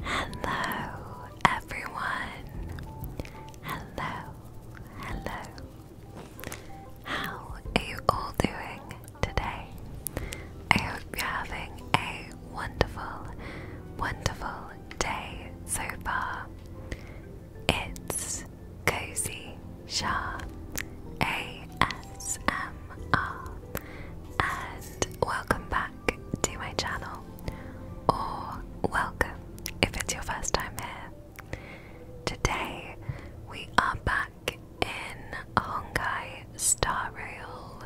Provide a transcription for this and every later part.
Hello, everyone. Hello, hello. How are you all doing today? I hope you're having a wonderful, wonderful day so far. It's Cozy Shah ASMR and welcome back to my channel, or welcome if it's your first time here. Today we are back in Honkai Star Rail,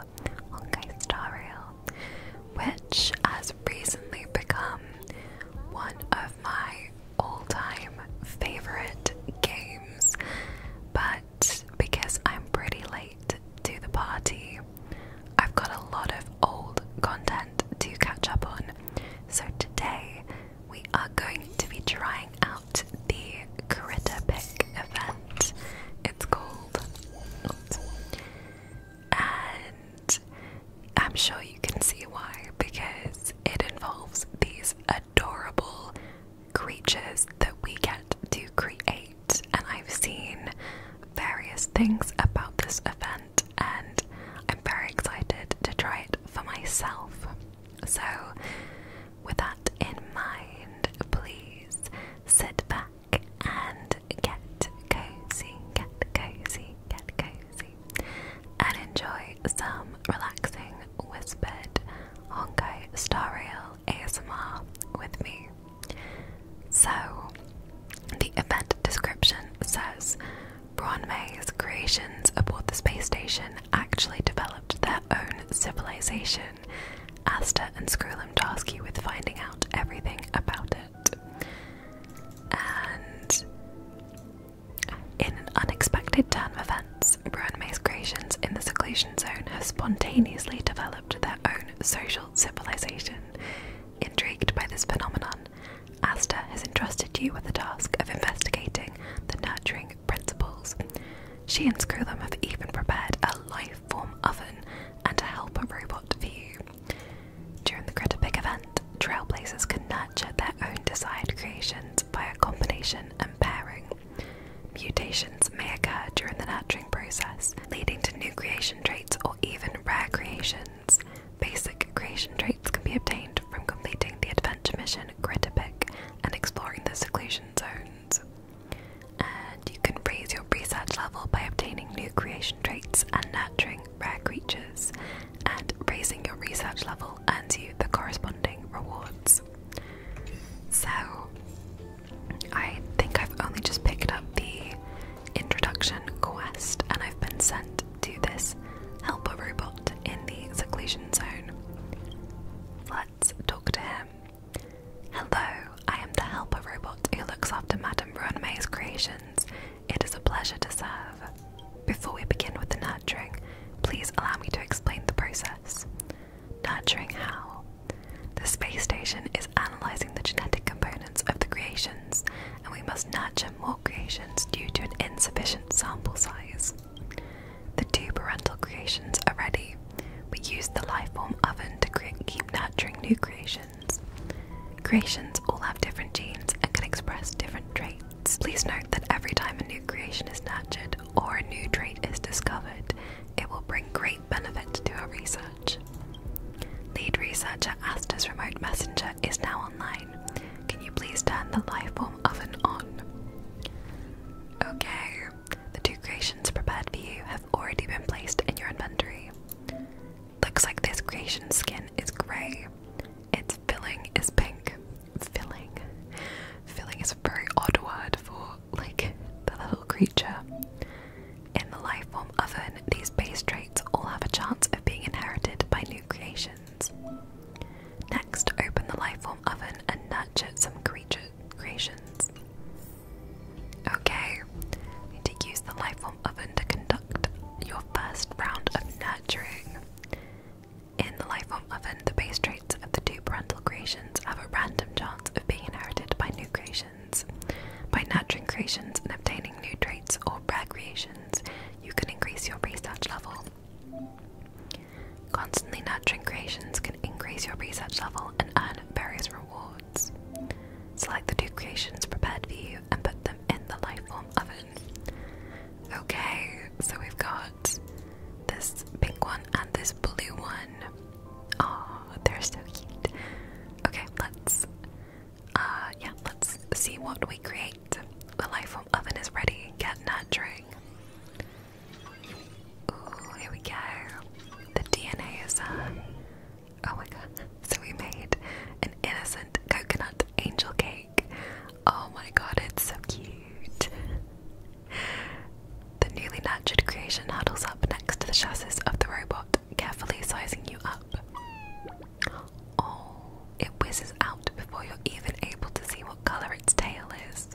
Honkai Star Rail, which has recently become one of my all-time favorite games. But because I'm pretty late to the party, I've got a lot of old content to catch up on. So today we are going to be trying out the Critter Pick event. It's called. And I'm sure you can see why, because it involves these adorable creatures that we get to create, and I've seen various things about this event, and I'm very excited to try it for myself. So, with that in mind, please sit back and get cozy, get cozy, get cozy, and enjoy some relaxing whispered Honkai Star Rail ASMR with me. So, the event description says Bronme's creations aboard the space station actually developed their own civilization. Asta and Skrullum task you with finding out everything about it. And in an unexpected turn of events, Bronme's creations in the seclusion zone have spontaneously developed developed their own social civilization. Intrigued by this phenomenon, Asta has entrusted you with the task of investigating the nurturing principles. She and Screwlum have even prepared a life form oven and a helper robot for you. During the Critterpig event, trailblazers can nurture their own desired creations via combination and pairing. Mutations may occur during the nurturing process, leading to new creation traits or even rare creations. Basic creation traits can be obtained from completing the adventure mission Critter Pick and exploring the seclusion zones. And you can raise your research level by obtaining new creation traits and nurturing rare creatures, and raising your research level earns you the corresponding rewards. So, I think I've only just picked up the introduction quest and I've been sent to this helper robot in the seclusion zone. Let's talk to him. Hello, I am the helper robot who looks after Madame Ronmay's creations. It is a pleasure to serve. Before we begin with the nurturing, please allow me to explain the process. Nurturing how? The space station is analyzing the genetic components of the creations, and we must nurture more creations due to an insufficient sample size. The two parental creations are ready. We use the lifeform oven to keep nurturing new creations. Creations all have different genes and can express different traits. Please note that every time a new creation is nurtured or a new trait is discovered, it will bring great benefit to our research. Lead researcher Asta's remote messenger is now online. Can you please turn the lifeform oven on? Okay, the two creations prepared for you have already been placed in your inventory. Looks like this creation's skin is grey. Its filling is pink. Filling. Filling is a very odd word for like the little creature in the life form oven, these base traits all have a chance of being inherited by new creations. Next, open the life form oven and nurture some creature creations. Okay, to use the life form oven to conduct your first round of nurturing. In the life form oven, the base traits of the two parental creations have a random chance of being inherited by new creations. By nurturing creations and obtaining new traits or rare creations, you can increase your research level. Constantly nurturing creations can increase your research level and earn various rewards. Select the two creations prepared for you and put them in the Lifeform oven. Okay, so we've got this pink one and this blue one. Oh, they're so cute. Okay, let's uh yeah, let's see what we create. The life oven is ready. Get nurturing. Ooh, here we go. The DNA is uh oh my god. So we made an innocent coconut angel cake. Oh my god, it's so cute. The newly nurtured creation huddles up next to the chassis of the robot carefully sizing you up. Oh, it whizzes out before you're even able to see what colour its tail is.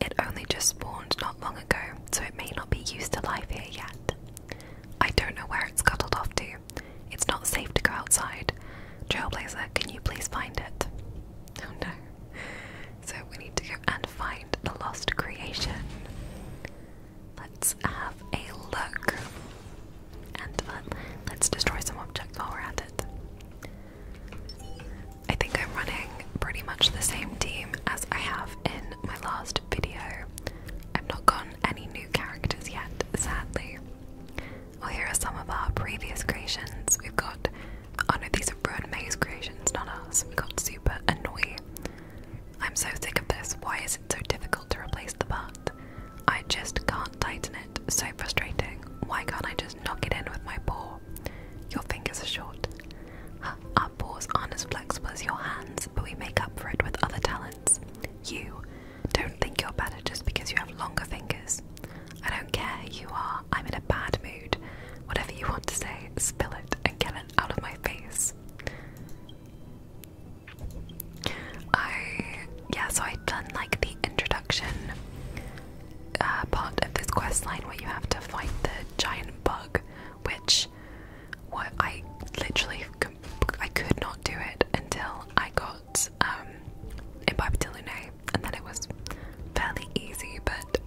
It only just spawned not long ago, so it may not be used to life here yet. I don't know where it's scuttled off to. It's not safe to go outside. Trailblazer, can you please find it? Oh no. So we need to go and find the lost creation. Let's have a look. And uh, let's destroy some objects while we're at it. I think I'm running pretty much the same team as I have in my last video. I've not gotten any new characters yet, sadly. Well, here are some of our previous creations. We've got, oh no, these are and May's creations, not us. We have got Super Annoy, I'm so sick of this. Why is it so difficult to replace the butt? I just can't tighten it. So frustrating. Why can't I just knock it in with my paw? Your fingers are short. Our paws aren't as flexible as your hands, but we make up for it with other talents. You don't think you're better just because you have longer fingers. I don't care you are, I'm in a bad mood. Whatever you want to say, spill it and get it out of my face. I yeah, so I've done like the introduction uh, part of this quest line where you have to find the giant bug, which what I literally I could not do it until I got um, Imbibitilune, and then it was fairly easy. But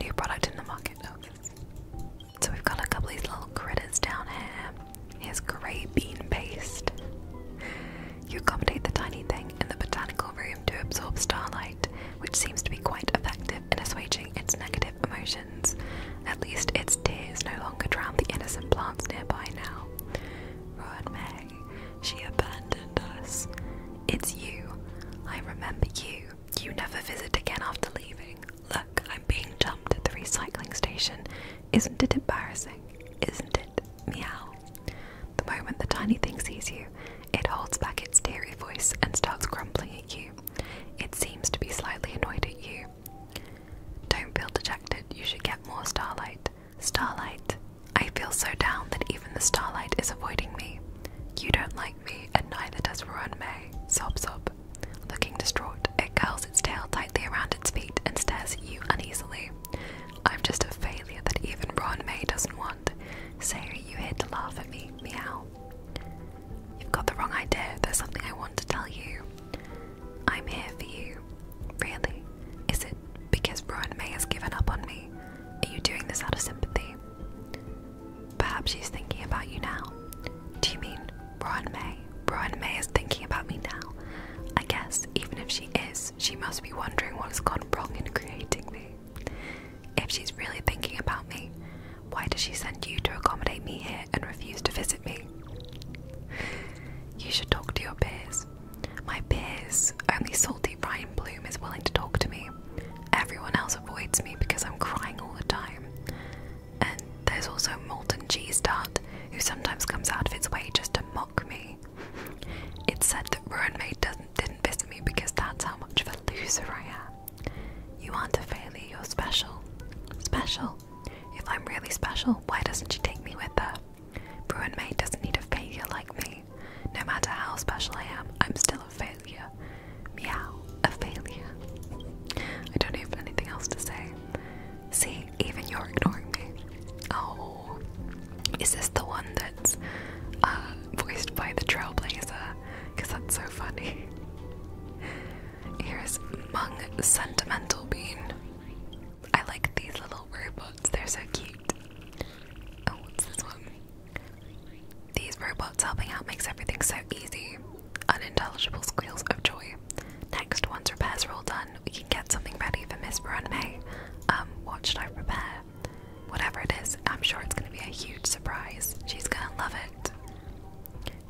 new product in the market. Oh, so we've got a couple of these little critters down here. Here's grey bean paste. You accommodate the tiny thing in the botanical room to absorb starlight, which seems to be quite effective in assuaging its negative emotions. At least its tears no longer drown the innocent plants nearby now. Ruin May, she abandoned us. It's you. I remember you. You never visit again after leaving. Look, I'm being dumped at the recycling station. Isn't it embarrassing? Isn't it? Meow. The moment the tiny thing sees you, it holds back its teary voice and starts grumbling at you. It seems to be slightly annoyed at you. Don't feel dejected, you should get more starlight. Starlight. I feel so down that even the starlight is avoiding me. You don't like and neither does Ron May. Sob, sob. Looking distraught, it curls its tail tightly around its feet and stares at you uneasily. I'm just a failure that even Ron May doesn't want. Sayori, you here to laugh at me? Meow. You've got the wrong idea. There's something I want to tell you. I'm here for you. Really? Is it because Ron May has given up on me? Are you doing this out of sympathy? Perhaps she's thinking about you now. Do you mean Brian May? Brian May is thinking about me now. I guess even if she is, she must be wondering what's gone wrong in creating me. If she's really thinking about me, why does she send you to accommodate me here and refuse to visit me? You should talk to your peers. My peers, only salty Ryan Bloom is willing to talk to me. Everyone else avoids me because I'm crying all the time. And there's also Molten Cheese Dart, who sometimes comes out of its way just to mock me. It's said that Ruin Maid doesn't, didn't visit me because that's how much of a loser I am. You aren't a failure, you're special. Special? If I'm really special, why doesn't she take me with her? Bruin Maid doesn't need a failure like me. No matter how special I am, I'm still a failure. Meow, a failure. I don't have anything else to say. See, even you're ignoring me. Oh, is this the one that's uh, voiced by the Trailblazer? Because that's so funny. Here's Mung Sentimental Bean. I like these little robots, they're so cute. Oh, what's this one? These robots helping out makes everything so easy. Unintelligible squeals of joy. Next, once repairs are all done, we can get something ready for Miss Veronime. Um, what should I prepare? Whatever it is, I'm sure it's going to be a huge surprise. She's going to love it.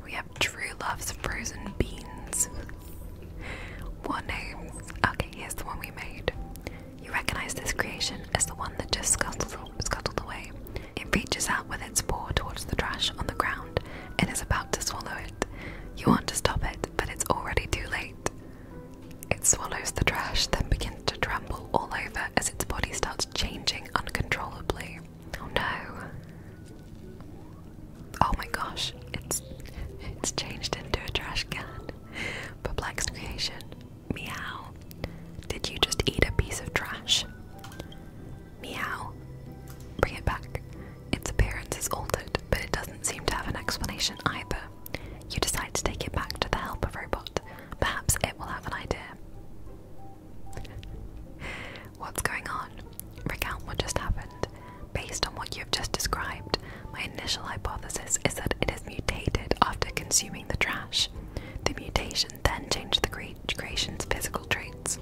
We have True Love's Frozen Beans. what name? Okay, here's the one we made. You recognize this creation as the one that just scuttled, scuttled away. It reaches out with its paw towards the trash on the ground and is about to swallow it. You want to stop it, but it's already too late. It swallows the trash, then begins to tremble all over as its body starts changing uncontrollably. Oh no. Oh my gosh, it's it's changed into a trash can. Perplexed creation. Meow. Did you just eat a piece of trash? Meow. Bring it back. Its appearance is altered, but it doesn't seem to have an explanation either. You decide to take it back to the help of robot. Perhaps it will have an idea. What's going on? Recount what just happened. Based on what you have just described, my initial hypothesis is that it is mutated after consuming the trash. The mutation then change the creation's physical traits.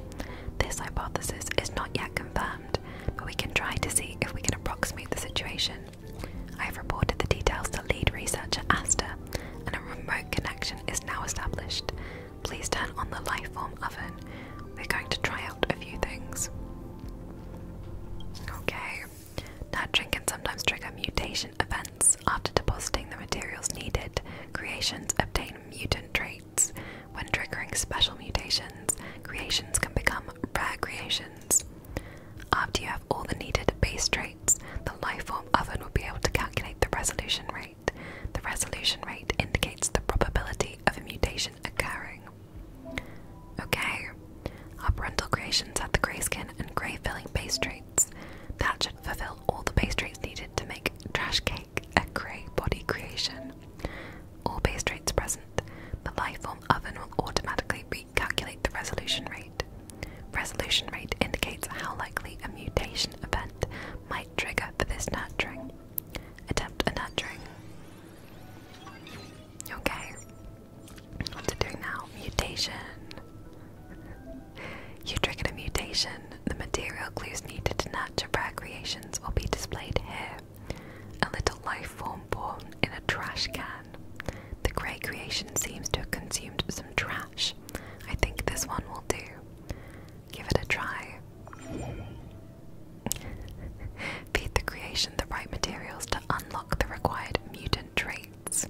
This hypothesis is not yet confirmed, but we can try to see if we can approximate the situation. I have reported the details to lead researcher Asta, and a remote connection is now established. Please turn on the Lifeform oven. We're going to try out a few things. Okay. Nurturing can sometimes trigger mutation events after depositing the materials needed, creations obtain mutant traits. When triggering special mutations, creations can become rare creations. After you have all the needed base traits, the lifeform oven will be able to calculate the resolution rate. The resolution rate indicates the probability of a mutation occurring. Okay, our parental creations have the grey skin and grey filling base traits. That should fulfill all the base traits needed to make trash cake a grey body creation. All base rates present, the Lifeform oven will automatically recalculate the resolution rate. Resolution rate indicates how likely a mutation event might trigger for this nurturing. Attempt a nurturing. Okay. What's it doing now? Mutation. You triggered a mutation. The material clues needed to in algebra creations will be displayed here. A little life form born in a trash can. The grey creation seems to have consumed some trash. I think this one will do. Give it a try. Feed the creation the right materials to unlock the required mutant traits.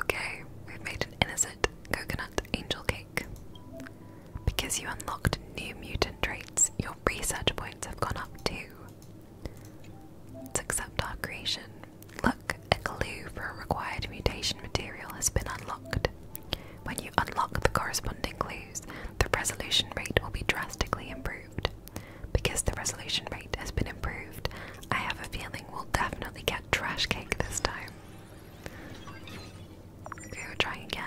Okay, we've made an innocent coconut angel cake. Because you unlocked new mutant traits, your research points have gone up too. let accept our creation. Look, a clue for a required mutation material has been unlocked. When you unlock the corresponding clues, the resolution rate will be drastically improved. Because the resolution rate has been improved, I have a feeling we'll definitely get trash cake this time. Okay, we're trying again.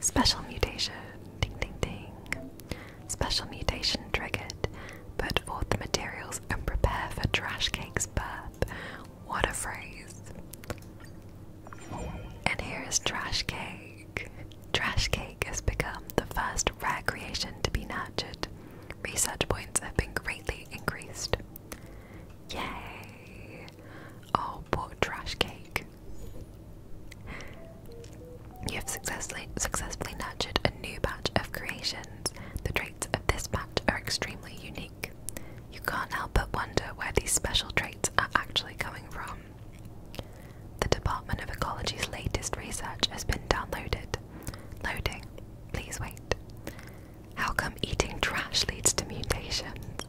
Special mutation. Ding ding ding. Special mutation triggered. Put forth the materials and prepare for Trash Cake's birth. What a phrase. And here is Trash Cake. Trash Cake has become the first rare creation to be nurtured. Research points have been greatly increased. Yay! Oh, but trash cake. You have successfully, successfully nurtured a new batch of creations. The traits of this batch are extremely unique. You can't help but wonder where these special traits are actually coming from. The Department of Ecology's latest research has been downloaded. Loading. Please wait. How come eating trash leads to mutations?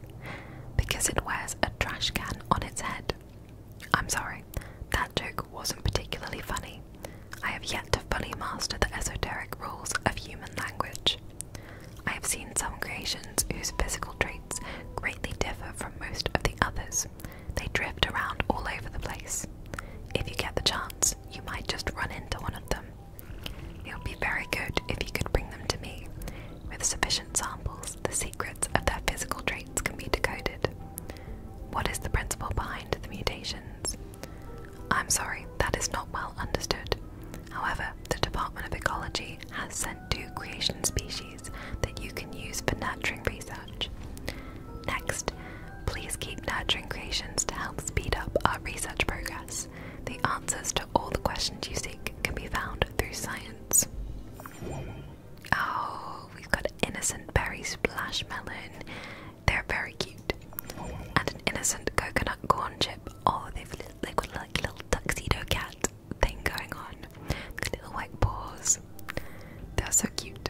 Because it wears a trash can on its head. I'm sorry, that joke wasn't particularly funny. I have yet to fully master the esoteric rules of human language. I have seen some creations whose physical traits greatly differ from most of the others. They drift around all over the place. If you get the chance, you might just run into one of them it would be very good if you could bring them to me. With sufficient samples, the secrets of their physical traits can be decoded. What is the principle behind the mutations? I'm sorry, that is not well understood. However, the Department of Ecology has sent two creation species that you can use for nurturing research. Next, please keep nurturing creations to help speed up our research progress. The answers to all the questions you seek can be found through science. Oh, we've got innocent berry splash They're very cute. And an innocent coconut corn chip. Oh, they've got like a little tuxedo cat thing going on. The little white paws. They're so cute.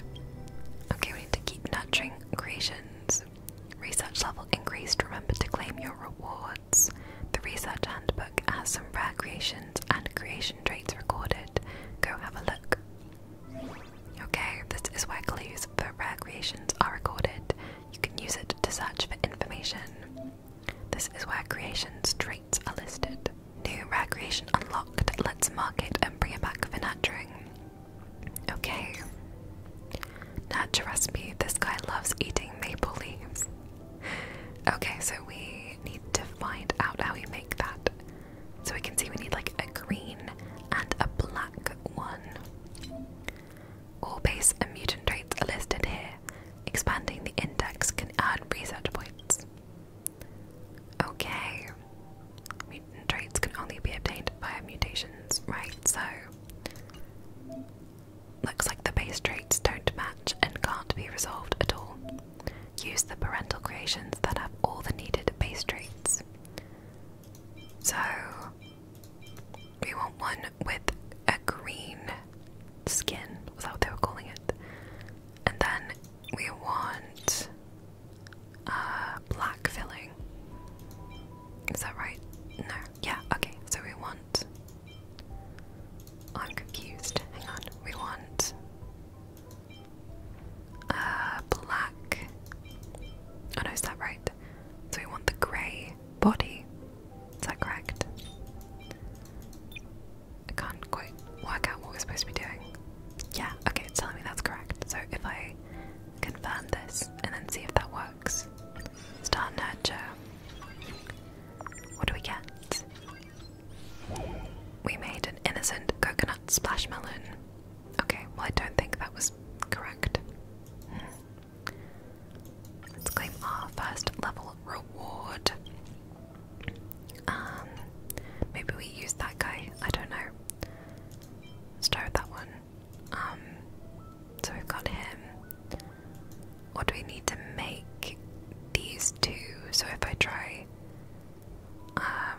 Okay, we need to keep nurturing creations. Research level increased. Remember to claim your reward. The research handbook has some rare creations and creation traits recorded. Go have a look. Okay, this is where clues for rare creations are recorded. You can use it to search for information. This is where creation traits are listed. New rare creation unlocked. Let's mark it and bring it back for nurturing. Okay. Natural recipe. This guy loves eating maple leaves. Okay, so we need to find out how we make that. So we can see we need like a green and a black one. All base and mutant traits are listed here. Expanding the index can add research points. Okay. Mutant traits can only be obtained via mutations, right? So Looks like the base traits don't match and can't be resolved at all. Use the parental creations that have all the needed base traits. So, we want one with a green skin, was that they were calling it? And then we want uh, black filling. Is that right? No. Yeah, okay. So we want I'm confused. Hang on. We want uh black. Oh no, is that right? So we want the grey body. Is that correct? I can't quite work out what we're supposed to be doing. Yeah, okay, it's telling me that's correct. So if I confirm this and then see if that works. Start nurture. What do we get? We made an innocent coconut splash melon. Okay, well, I don't think that was correct. Hmm. Let's claim our first level reward. Um, maybe we use that guy. I don't know. Let's try with that one. Um, so we've got him. What do we need to make these two? So if I try um,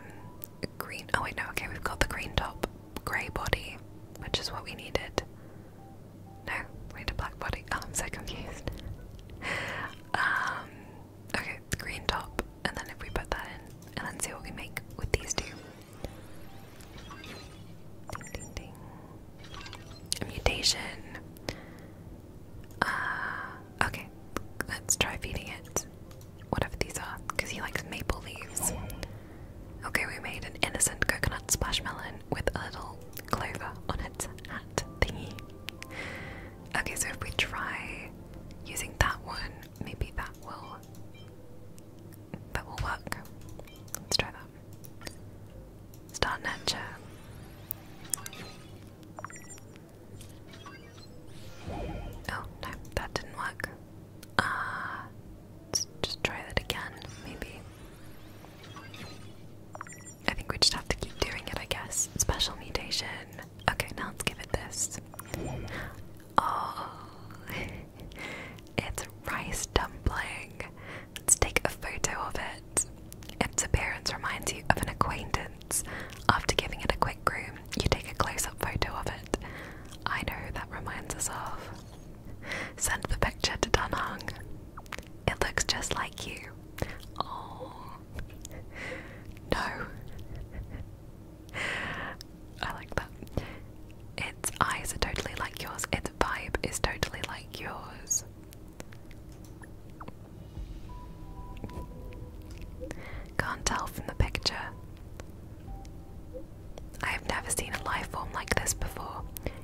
green oh wait no, okay, we've got the green top, grey body, which is what we needed. No, we need a black body. Oh, I'm so confused. Um, okay, the green top, and then if we put that in and then see what we make with these two. Ding ding ding. A mutation. Uh, okay, let's try feeding it whatever these are, because he likes maple leaves. Okay, we made an innocent coconut splashmelon with a little clover on its hat thingy. Okay, so if we try using that one, maybe that will that will work. Let's try that. Start Nature. Oh no, that didn't work. Ah, just try that again, maybe. I think we just have to keep doing it, I guess. Special mutation. Okay, now let's give it this. Oh, it's rice dumpling. Let's take a photo of it. Its appearance reminds you of an acquaintance. After giving it a quick groom, you take a close up photo of it. I know that reminds us of. Send the picture to Danhung. It looks just like you. Oh. No. I like that. Its eyes are totally like yours. Its vibe is totally like yours. Can't tell from the picture. I have never seen a life form like this before.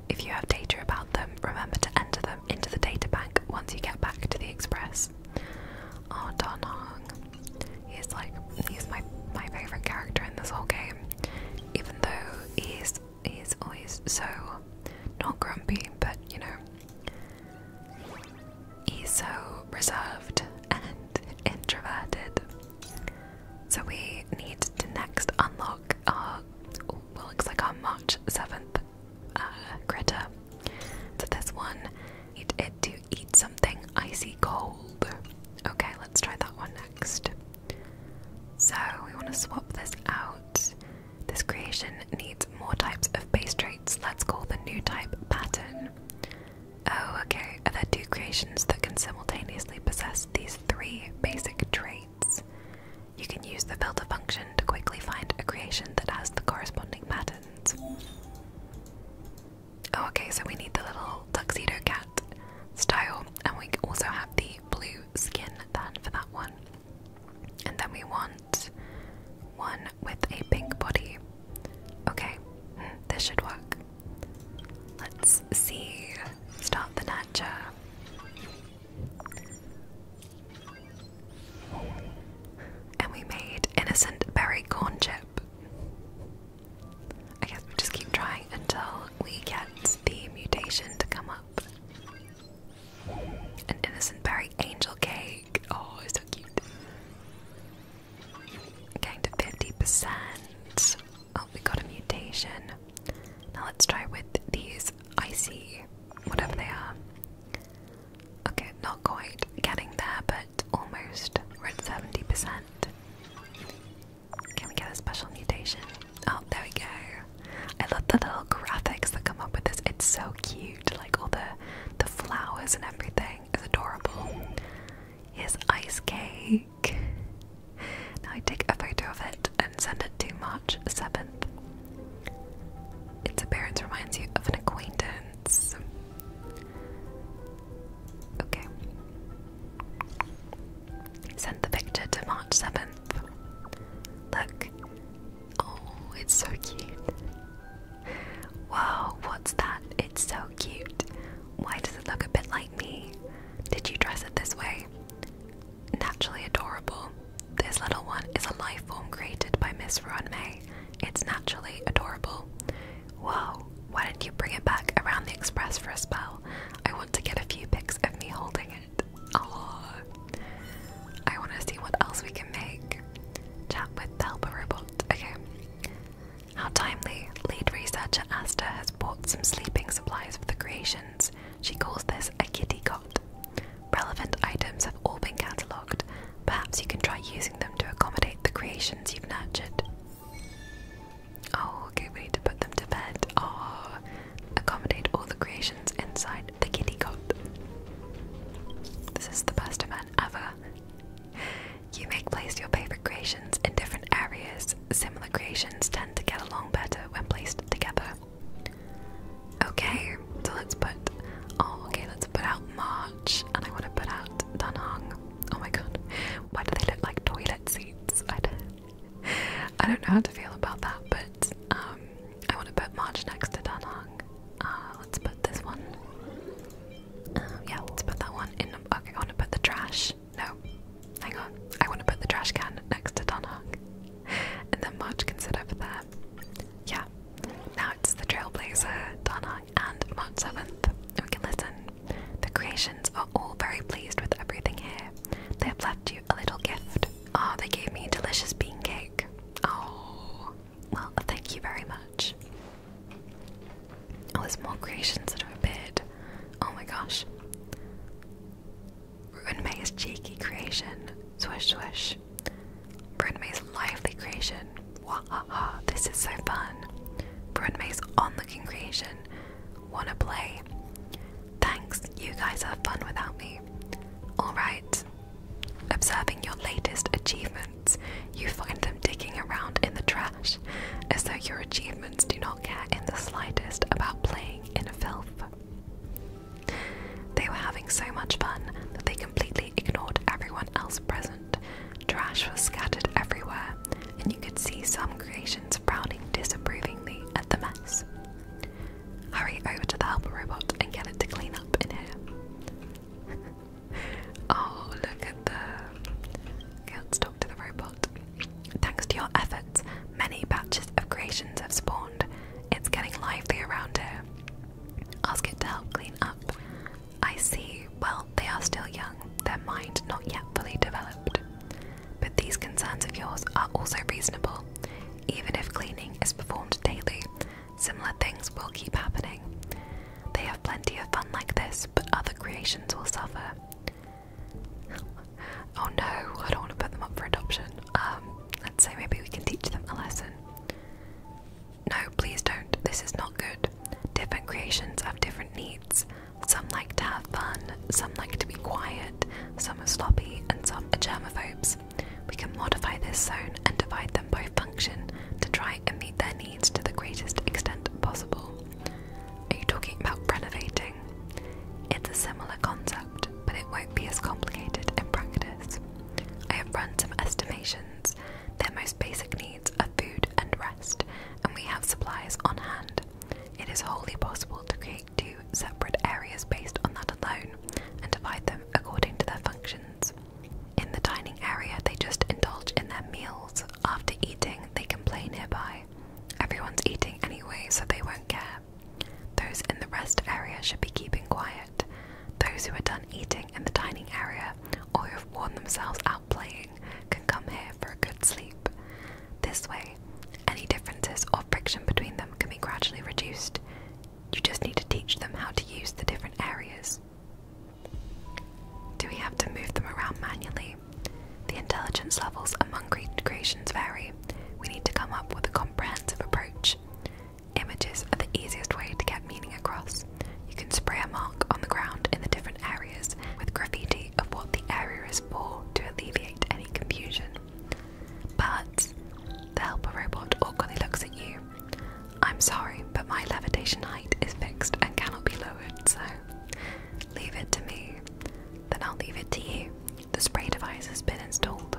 If you have data about them, remember to enter them into the data bank once you get back to the express. Oh, Don He's like, he's my, my favourite character in this whole game. Even though he's he's always so not grumpy, but you know, he's so reserved and introverted. So we need to next unlock our well, looks like our March seventh uh, critter. So this one, need it to eat something icy cold. Okay, let's try that one next. So we want to swap this out. This creation needs more types of base traits. Let's call the new type pattern. Oh, okay. Are there two creations that can simultaneously possess these three basic traits? You can use the filter function to quickly find a creation that has the corresponding patterns. Oh, okay, so we need the little tuxedo cat style, and we also have the blue skin then for that one. And then we want one with a pink body. Okay, hmm, this should work. Let's see. Stop the nature. And we made innocent berry corn chip. I guess we just keep trying until we get the mutation to come up. An innocent berry angel cake. Oh, it's so cute. Getting to 50%. Oh, we got a mutation. Now let's try with these icy, whatever they are. Okay, not quite getting there, but almost. We're at 70%. Can we get a special mutation? Oh, there we go. I love the little graphics that come up with this. It's so cute. Like all the the flowers and everything is adorable. Here's ice cake. Now I take a photo of it and send it to March 7th. Its appearance reminds you of an acquaintance. Okay. Send the picture to March 7th. Look. Oh, it's so cute. Wow, what's that? It's so cute. Why does it look a bit like me? Did you dress it this way? Naturally adorable. This little one is a life form created by Miss Ron May. It's naturally adorable. Wow, why don't you bring it back around the express for a spell? I want to get a few pics of me holding it it. Oh, I want to see what else we can make. Chat with the helper robot. Okay. How timely! Lead researcher Asta has bought some sleeping supplies for the creations. She calls this a kitty cot. Relevant items have all been catalogued. Perhaps you can try using them to accommodate the creations you've nurtured. Oh, okay, we to put them to bed. Oh, accommodate all the creations inside the kitty cot. This is the best event ever. You make place your favorite creations in different areas. Similar creations tend to get along better when placed together. Okay, so let's put. Oh, okay, let's put out March, and I want to put out Danang. Oh my god, why do they look like toilet seats? I don't, I don't know how to feel about that, but um, I want to put March next to Danhong. Uh, let's put this one. Um, yeah, let's put that one in. Okay, I want to put the trash. No, hang on. I want to put the trash can next to Danhong. and then March can sit over there. Yeah, now it's the Trailblazer, Danhong, and March 7th. we can listen. The creations are all very pleased with everything here. They have left you a little gift. Oh, they gave me a delicious bean cake. Oh, well, thank you very much. Oh, there's more creations that have appeared. Oh my gosh. We're gonna make May's cheeky creation. Swish, swish. Bryn May's lively creation. Wahaha, this is so fun. Bryn May's on looking creation. Wanna play? Thanks, you guys have fun without me. Alright. Observing your latest achievements, you find them digging around in the trash, as though your achievements do not care in the slightest about playing in filth. They were having so much fun that they completely ignored everyone else present. Trash was scattered everywhere, and you could see some creations frowning disapprovingly at the mess. Hurry over to the helper robot and get it to clean up in here. oh, look at the. Okay, talk to the robot. Thanks to your efforts, many batches of creations have spawned. It's getting lively around here. Ask it to help clean up. I see. Well, they are still young, their mind not yet fully developed. But these concerns of yours are also reasonable. Even if cleaning is performed daily, similar things will keep happening. They have plenty of fun like this, but other creations will suffer. oh no, I don't want to put them up for adoption. Um, let's say maybe we can teach them a lesson. No, please don't. This is not good. Different creations have different needs. Some like to have fun, some like to be quiet, some are sloppy, and some are germophobes. We can modify this zone and divide them by function to try and meet their needs to the greatest extent possible. Are you talking about renovating? It's a similar concept, but it won't be as complicated in practice. I have run some estimations. Their most basic needs are food and rest, and we have supplies on hand. It is wholly possible to create two separate areas based on that alone and divide them according to their functions. In the dining area, they just indulge in their meals. After eating, they can play nearby. Everyone's eating anyway, so they won't care. Those in the rest area should be keeping quiet. Those who are done eating in the dining area or who have worn themselves out playing can come here for a good sleep. This way, any differences or friction between them can be gradually reduced. You just need to teach them how to use the different areas. Do we have to move them around manually? The intelligence levels among Great creations vary. We need to come up with a comprehensive approach. Images are the easiest way to get meaning across. You can spray a mark on the ground in the different areas with graffiti of what the area is for to alleviate any confusion. But the helper robot awkwardly looks at you. I'm sorry, but my levitation height is fixed and cannot be lowered, so leave it to me. Then I'll leave it to you. The spray device has been installed.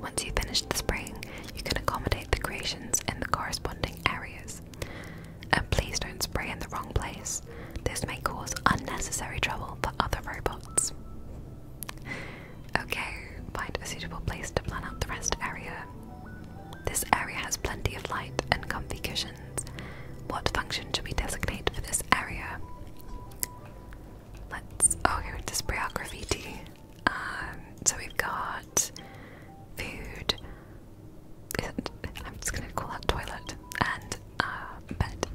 Once you finish the spraying, you can accommodate the creations in the corresponding areas. And please don't spray in the wrong place. This may cause unnecessary trouble for other robots. Okay, find a suitable place to plan out the rest area. This area has plenty of light and comfy cushions. What function should we designate for this area? Let's. Oh, here it is graffiti. Um, so we've got food. I'm just gonna call that toilet and uh, bed.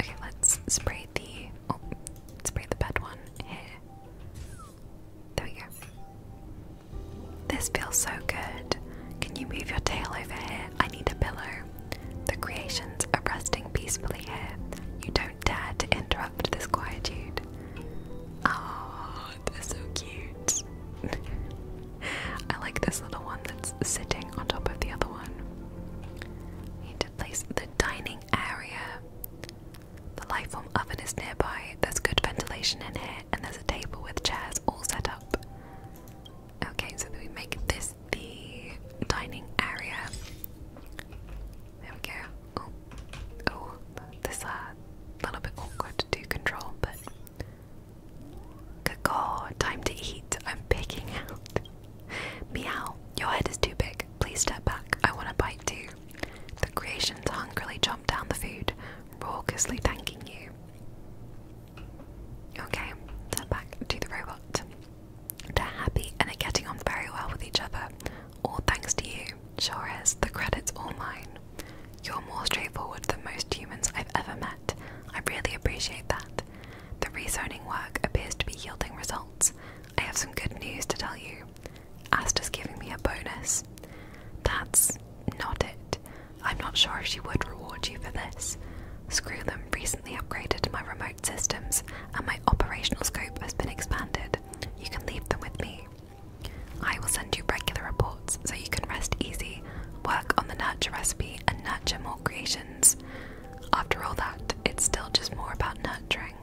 Okay, let's spray the oh, spray the bed one here. There we go. This feels so good. Can you move your tail over here? I need a pillow. The creations are resting peacefully here. You don't dare to interrupt this quietude. Oh, they're so cute. I like this little one that's sitting on top of the other one. We place the dining area. The Lifeform oven is nearby, there's good ventilation in here, and there's a table with chairs all set up. Okay, so we make this the dining area. There we go. Oh, oh this is uh, a little bit awkward to control, but. Caw, oh, time to eat. I'm picking out. Meow, your head is too big. Please step back. I want to bite you. The creations hungrily chomp down the food, raucously thanking you. Okay, so back to the robot. They're happy and are getting on very well with each other, all thanks to you. Sure is, the credit's all mine. You're more straightforward than most humans I've ever met. I really appreciate that. The rezoning work appears to be yielding results. I have some good news to tell you. Aster's giving me a bonus. That's not it. I'm not sure if she would reward you for this. Screw them recently upgraded my remote systems and my operational scope has been expanded. You can leave them with me. I will send you regular reports so you can rest easy, work on the nurture recipe, and nurture more creations. After all that, it's still just more about nurturing.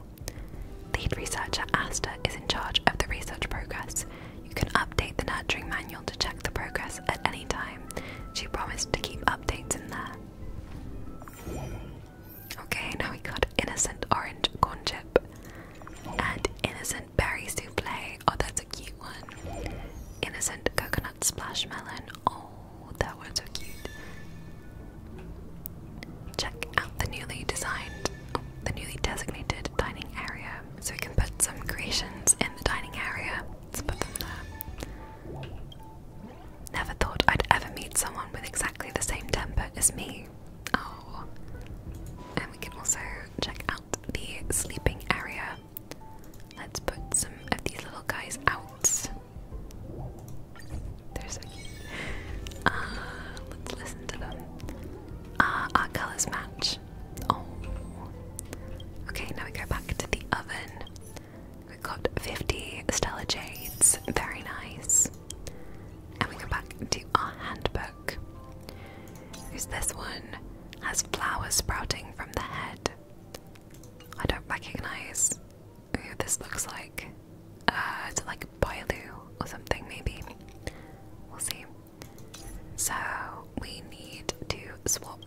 Lead researcher Asta is in charge of the research progress. You can update the nurturing manual to check the progress at any time. She promised to keep updates in there. Okay, now we got innocent orange corn chip and innocent berry souffle. Oh, that's a cute one. Innocent coconut splash melon. Oh, that one's so cute. Check out the newly designed, the newly designated dining area. So we can put some creations in the dining area. Never thought I'd ever meet someone with exactly the same temper as me. Oh. And we can also check out the sleeping area. Let's put some of these little guys out. They're so cute. Uh, let's listen to them. Uh, our colors match. Oh. Okay, now we go back to the oven. we got 50 Stella Jades. Very nice. And we go back to our handbook. Who's this one? Has flowers sprouting from the head. I don't recognize who this looks like. Uh, is like Boilu or something, maybe? We'll see. So, we need to swap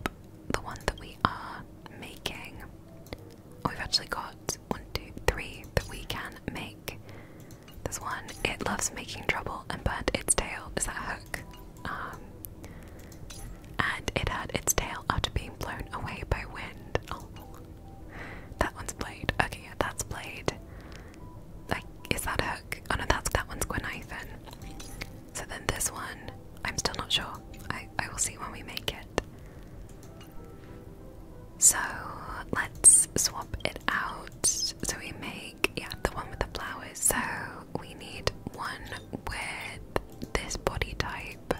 the one that we are making. Oh, we've actually got one, two, three that we can make. This one, it loves making trouble and burnt its tail. as a hook? Um, and it had its tail after being blown away by wind. Oh. That one's Blade. Okay, yeah, that's Blade. Like, is that a Hook? Oh no, that's that one's Gwenithan. So then this one, I'm still not sure. I, I will see when we make it. So let's swap it out. So we make, yeah, the one with the flowers. So we need one with this body type.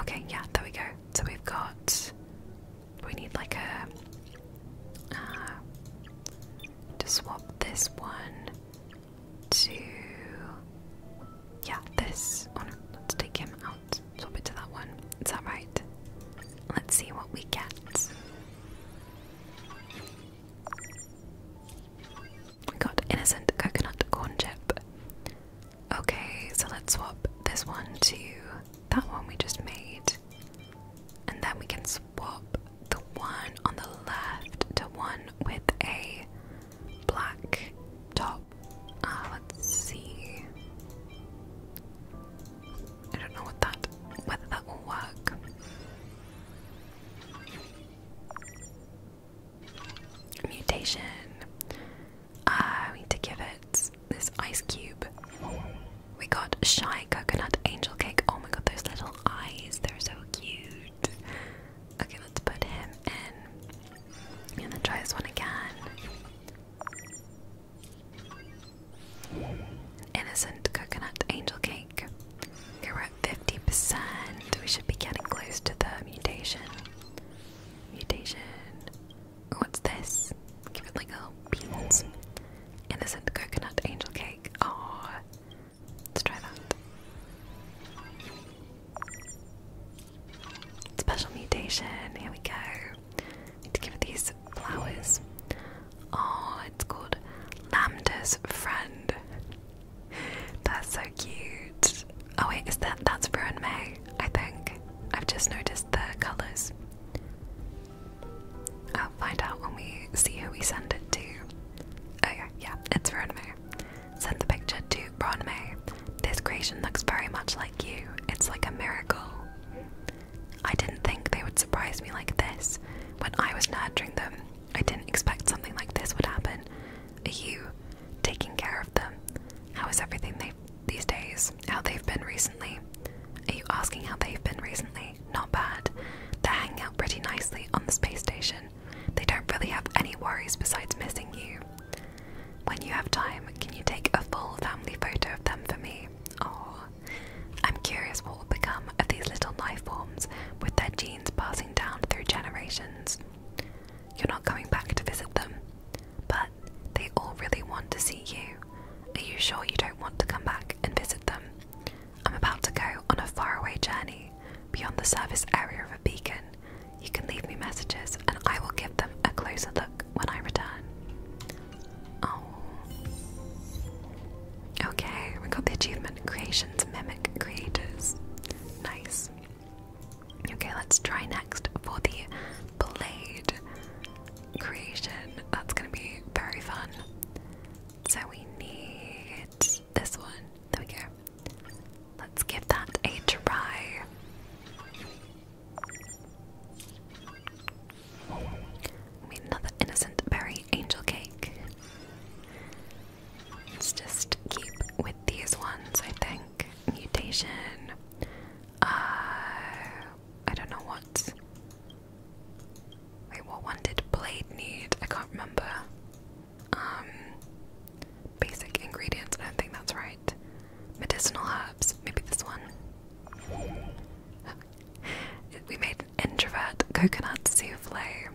Okay, yeah, there we go. So we've got we need like a uh, to swap this one to yeah this. Oh let's take him out. Swap it to that one. Is that right? Let's see what we get. We got innocent coconut corn chip. Okay, so let's swap this one to that one we just made. And then we can swap the one on the left to one with a black top. Uh, let's see. I don't know whether that will work. Mutation. I need to give it this ice cube. We got Shy Coconut Angel Cake. Oh my god, those little eyes, they're so cute. Okay, let's put him in. And then try this one again. Innocent Coconut Angel Cake. Okay, we're at 50%. We should be getting close to the mutation. Mutation. What's this? Give it like a peanuts. Innocent coconut angel cake. Oh, let's try that. Special mutation. Here we go. Need to give it these flowers. Oh, it's called Lambda's friend. That's so cute. Oh wait, is that that's Ruin May? I think I've just noticed the colours. I'll find out when we see who we send it to. Oh yeah, it's Veronime. Send the picture to Veronime. This creation looks very much like you. It's like a miracle. I didn't think they would surprise me like this. When I was nurturing them, I didn't expect something like this would happen. You taking care of them. How is everything they these days? How they've been recently? Are you asking how they've been recently? Not bad. They're hanging out pretty nicely on the space station. They don't really have any worries besides missing you. When you have time, can you take a full family photo of them for me? Oh, I'm curious what will become of these little life forms with their genes passing down through generations. You're not going back to visit them. But they all really want to see you. Are you sure you don't want to come back and visit them? I'm about to go on a faraway journey beyond the service area of a beacon. You can leave me messages and I will give them a closer look when I return. Oh. Okay, we got the achievement Creations Creators. Nice. Okay, let's try next for the blade creation. That's gonna be very fun. So we need this one. There we go. Let's give that a try. I mean, another innocent berry angel cake. Let's just keep with these ones, I think. Mutation. Uh, I don't know what. Wait, what one did blade need? I can't remember. Um, basic ingredients. I don't think that's right. Medicinal herbs. Maybe this one. we made introvert coconut souffle.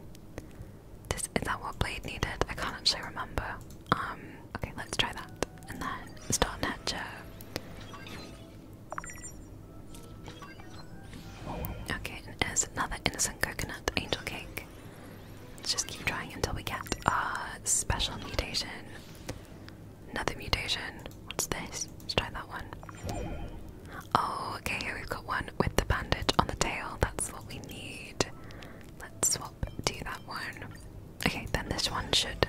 This, is that what blade needed? I can't actually remember. Um, okay, let's try that. And then start nurture. Okay, and there's another innocent coconut angel cake. Let's just keep trying until we get a special mutation. Another mutation. What's this? Let's try that one. Oh, okay, here we've got one with the bandage on the tail. That's what we need. Let's swap to that one. Okay, then this one should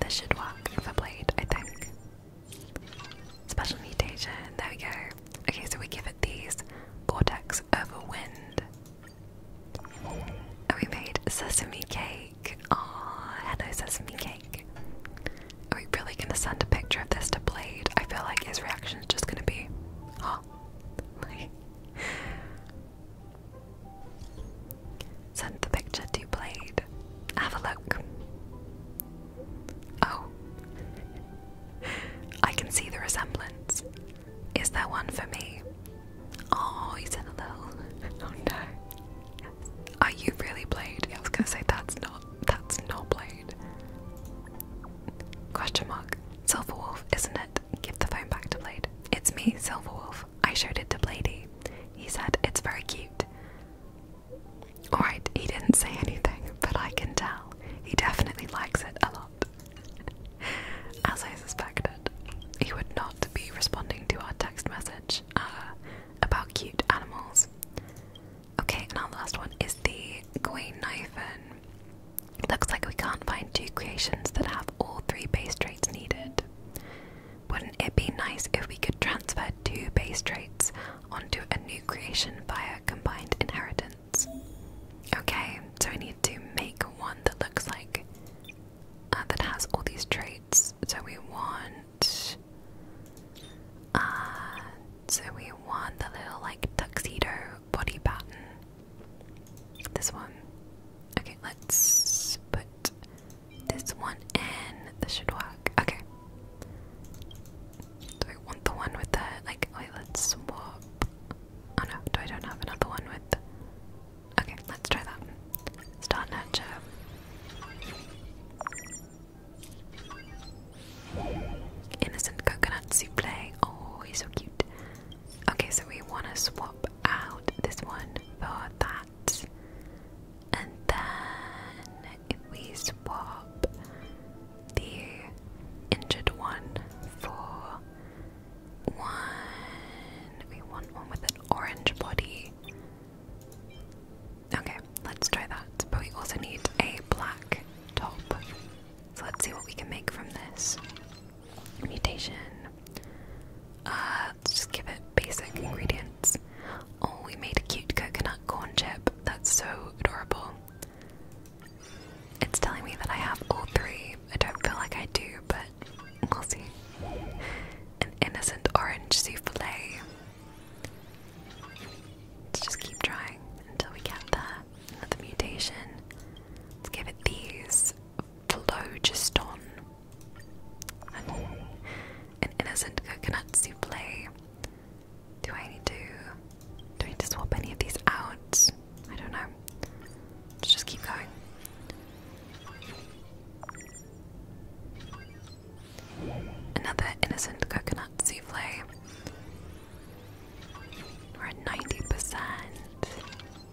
this should work if I played, I think. Special mutation, there we go. Okay, so we give it these vortex over wind. And we made sesame cake. Oh, hello sesame cake. Are we really gonna send a picture of this to Blade? I feel like his reaction is just gonna be, oh, Send the picture to Blade. Have a look. Oh. I can see the resemblance. Is there one for me? Oh, you said a little. Oh, no. Are you really Blade? I was gonna say that's not that's not Blade. Question mark. Silverwolf, isn't it? Give the phone back to Blade. It's me, Silverwolf. I showed it to Bladey. He said it's very cute. Alright, he didn't say anything, but I can tell he definitely likes it a lot. As I suspected, he would not be responding to our text message uh, about cute animals. Okay, and our last one is the Queen Knifin. Looks like we can't find two creations that have all three base traits needed. Wouldn't it be nice if we could transfer two base traits onto a new creation via combined inheritance? Okay, so we need to make one that looks like uh, that has all these traits. So we want, uh, so we want the little like tuxedo body pattern. This one. Okay, let's put this one and this should work. Okay. Do I want the one with the like wait let's swap Oh no, do I don't have another one with Okay, let's try that. Start nurture. Innocent coconut souffle. Oh, he's so cute. Okay, so we wanna swap out this one for that. And then we swap the injured one for one, we want one with an orange body. Okay, let's try that. But we also need a black top. So let's see what we can make from this. Mutation. Uh, let's just give it basic ingredients. Oh, we made a cute coconut corn chip. That's so adorable. It's telling me that I have all three. I don't feel like I do, but we'll see. An innocent orange souffle. Let's just keep trying until we get there. Another mutation. Let's give it these. Phlogiston. An innocent coconut souffle. Do I need to do I need to swap any of these out? I don't know. Let's just keep going. Another innocent coconut souffle. We're at 90%.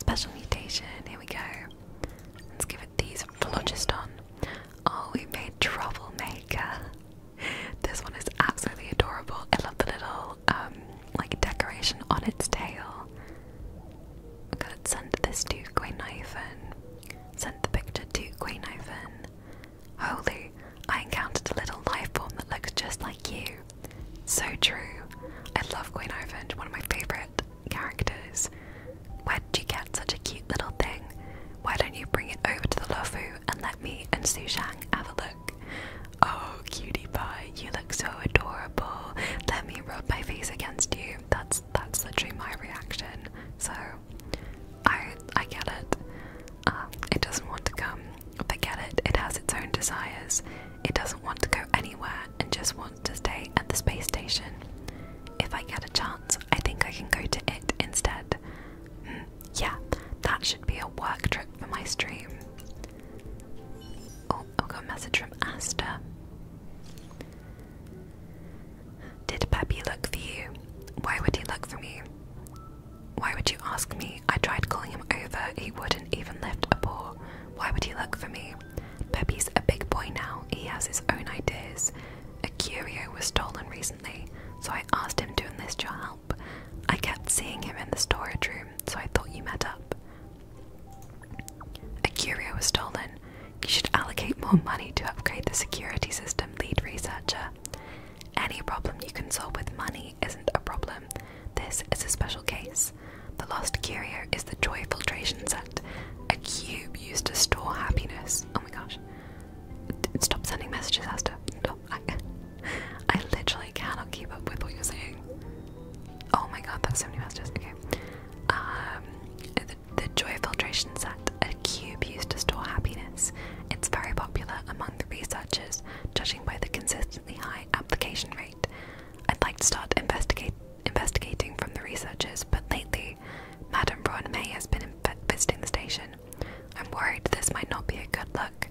Special mutation, here we go. Let's give it these phlogiston. Oh, we made Troublemaker. This one is absolutely adorable. I love the little um like decoration on its tail. I'm gonna send this to Queen Ivan. Sent the picture to Queen Ivan. Holy, I encountered a little life form that looks just like you. So true. I love Queen Ivan, one of my favourite characters. Where would you get such a cute little thing? Why don't you bring it over to the Lofu and let me and Su have a look? Oh, cutie pie, you look so adorable. Let me rub my face against you. That's that's literally my reaction. So I I get it. Um, it doesn't want to come. Forget it. It has its own desires. It doesn't want to go anywhere and just wants to stay at the space station if I get a chance, I think I can go to it instead. Mm, yeah, that should be a work trip for my stream. Oh, i got a message from Asta. Did Peppy look for you? Why would he look for me? Why would you ask me? I tried calling him over, he wouldn't even lift a paw. Why would he look for me? Peppy's a big boy now, he has his own ideas. A curio was stolen recently, so I asked him to enlist your help. I kept seeing him in the storage room, so I thought you met up. A curio was stolen. You should allocate more money to upgrade the security system, lead researcher. Any problem you can solve with money isn't a problem. This is a special case. The lost curio is the joy filtration set, a cube used to store happiness. Oh my gosh. Stop sending messages, Asta. No, I, literally cannot keep up with what you're saying. Oh my god, that's so many messages. Okay. Um, the, the joy filtration set, a cube used to store happiness. It's very popular among the researchers, judging by the consistently high application rate. I'd like to start investigate, investigating from the researchers, but lately Madame Braun May has been visiting the station. I'm worried this might not be a good look.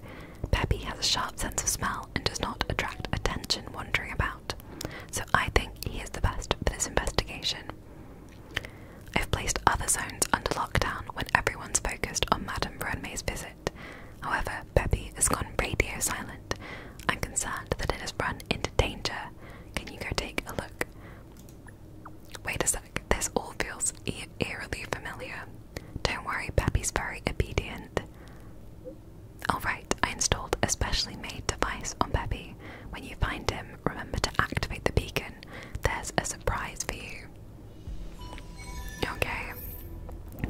Peppy has a sharp sense of smell and does not attract attention wandering about, so I think he is the best for this investigation. I've placed other zones under lockdown when everyone's focused on Madame Braun May's visit. However, Peppy has gone radio silent. I'm concerned that it has run into danger. Can you go take a look? Wait a sec. This all feels eerily familiar. Don't worry, Pappy's very obedient. Alright, I installed a specially made device on Peppy. When you find him, remember to activate the beacon. There's a surprise for you. Okay.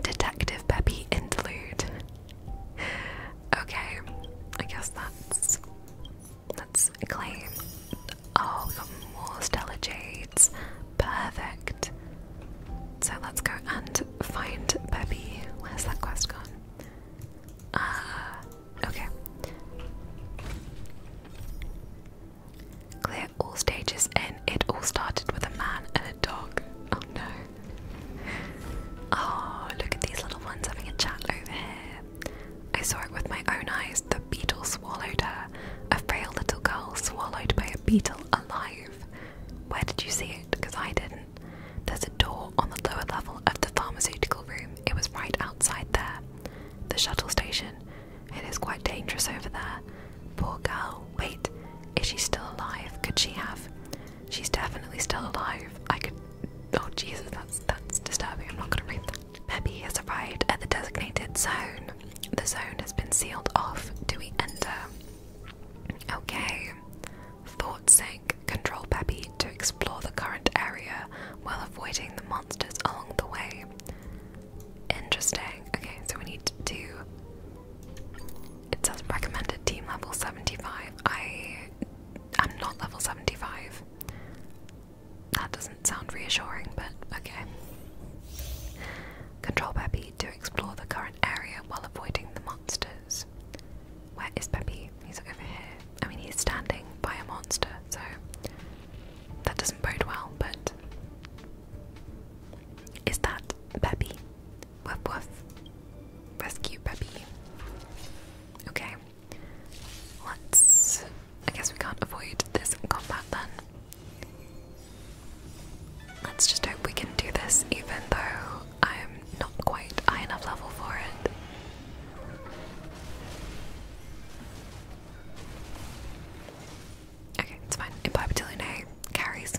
Detective Peppy interlude. Okay, I guess that's that's us claim. Oh, we got more stellar Perfect. So let's go and find Peppy. Where's that quest gone? Ah, okay. Clear all stages and it all started with a man and a dog. Oh no. Oh, look at these little ones having a chat over here. I saw it with my own eyes, the beetle swallowed her, a frail little girl swallowed by a beetle alive. Where did you see it? Because I didn't. There's a door on the lower level of the pharmaceutical room. It was right outside there. The shuttle station. It is quite dangerous over there. Poor girl. Wait, is she still alive? Could she have? She's definitely still alive. I could. Oh Jesus, that's that's disturbing. I'm not gonna read that. Peppy has arrived at the designated zone. The zone has been sealed off. Do we enter? Okay. Thought sank. Control Peppy to explore the current area while avoiding the monsters along the way. Interesting. Okay, so we need to. It says recommended team level 75. I. I'm not level 75. That doesn't sound reassuring, but okay. Control Peppy to explore the current area while avoiding the monsters. Where is Peppy? He's over here. I mean, he's standing by a monster, so that doesn't bode well, but. Is that Peppy? Woof woof. Rescue Peppy. Okay. Let's. I guess we can't avoid this combat then. Let's just hope we can do this, even though I'm not quite high enough level for it. Okay, it's fine. Imbibatillionaire hey, carries.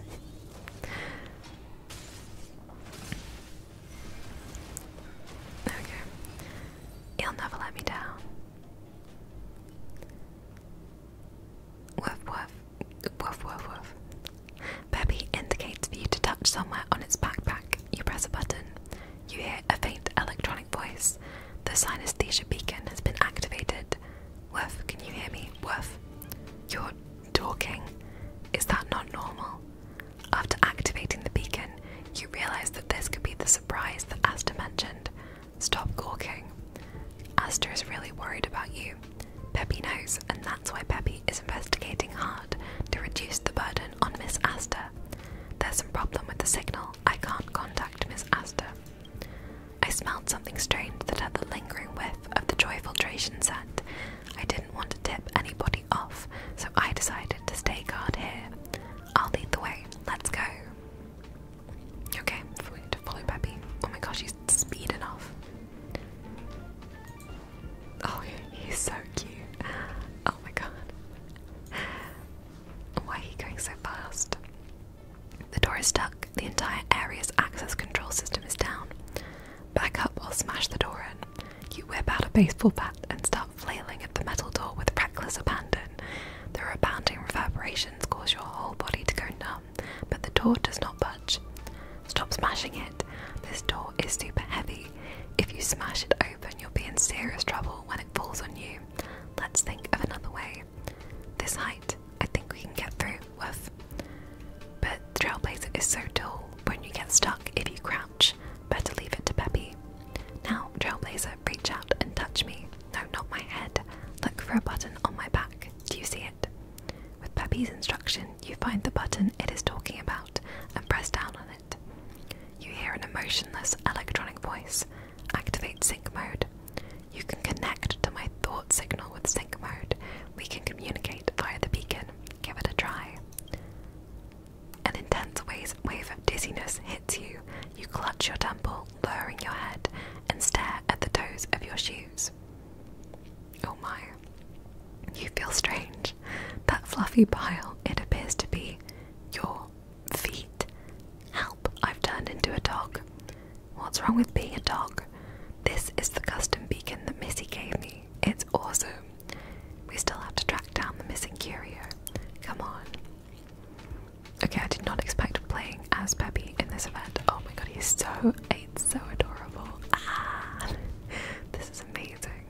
Okay. He'll never let me down. Woof woof. Woof woof woof. Peppy indicates for you to touch somewhere on its backpack. You press a button. You hear a faint electronic voice. The synesthesia beacon has been activated. Woof, can you hear me? Woof. You're talking. Is that not normal? After activating the beacon, you realize that this could be the surprise that Asta mentioned. Stop gawking. Astor is really worried about you. Peppy knows, and that's why Peppy is investigating hard to reduce the burden on Miss Astor. There's some problem with the signal. I can't contact Miss Astor. I smelled something strange that had the lingering whiff of the joy filtration scent. I didn't want to tip anybody off, so I decided to stay guard here. I'll lead the way. Let's go. Okay, we need to follow Peppy. Oh my gosh, he's speeding off. Oh, he's so cute. Oh my god. Why are you going so fast? The door is stuck. The entire area's access control system is down. Back up or smash the door in. You whip out a baseball bat and start flailing at the metal door with reckless abandon. The rebounding reverberations cause your whole body to go numb, but the door does not budge. Stop smashing it. This door is super heavy. If you smash it open, you'll be in serious trouble when it falls on you. Let's think of another way. This height, I think we can get through with. But the trailblazer is so tall, when you get stuck, if you crouch, better leave it to Peppy. Now, trailblazer, reach out and touch me. No, not my head. Look for a button on my back. Do you see it? With Peppy's instruction, you find the button it is talking about and press down on it. You hear an emotionless electronic voice. Activate sync mode. You can connect to my thought signal with sync mode. We can communicate via the beacon. Give it a try. An intense wave of dizziness hits you. You clutch your temple, lowering your head and stare at the toes of your shoes. Oh my. You feel strange. That fluffy pile, it appears to be your feet. Help, I've turned into a dog. What's wrong with being a dog? This is the custom beacon that Missy gave me. It's awesome. We still have to track down the missing curio. Come on. Okay, I did not expect playing as Peppy in this event. Oh my god, he's so so adorable. Ah, this is amazing.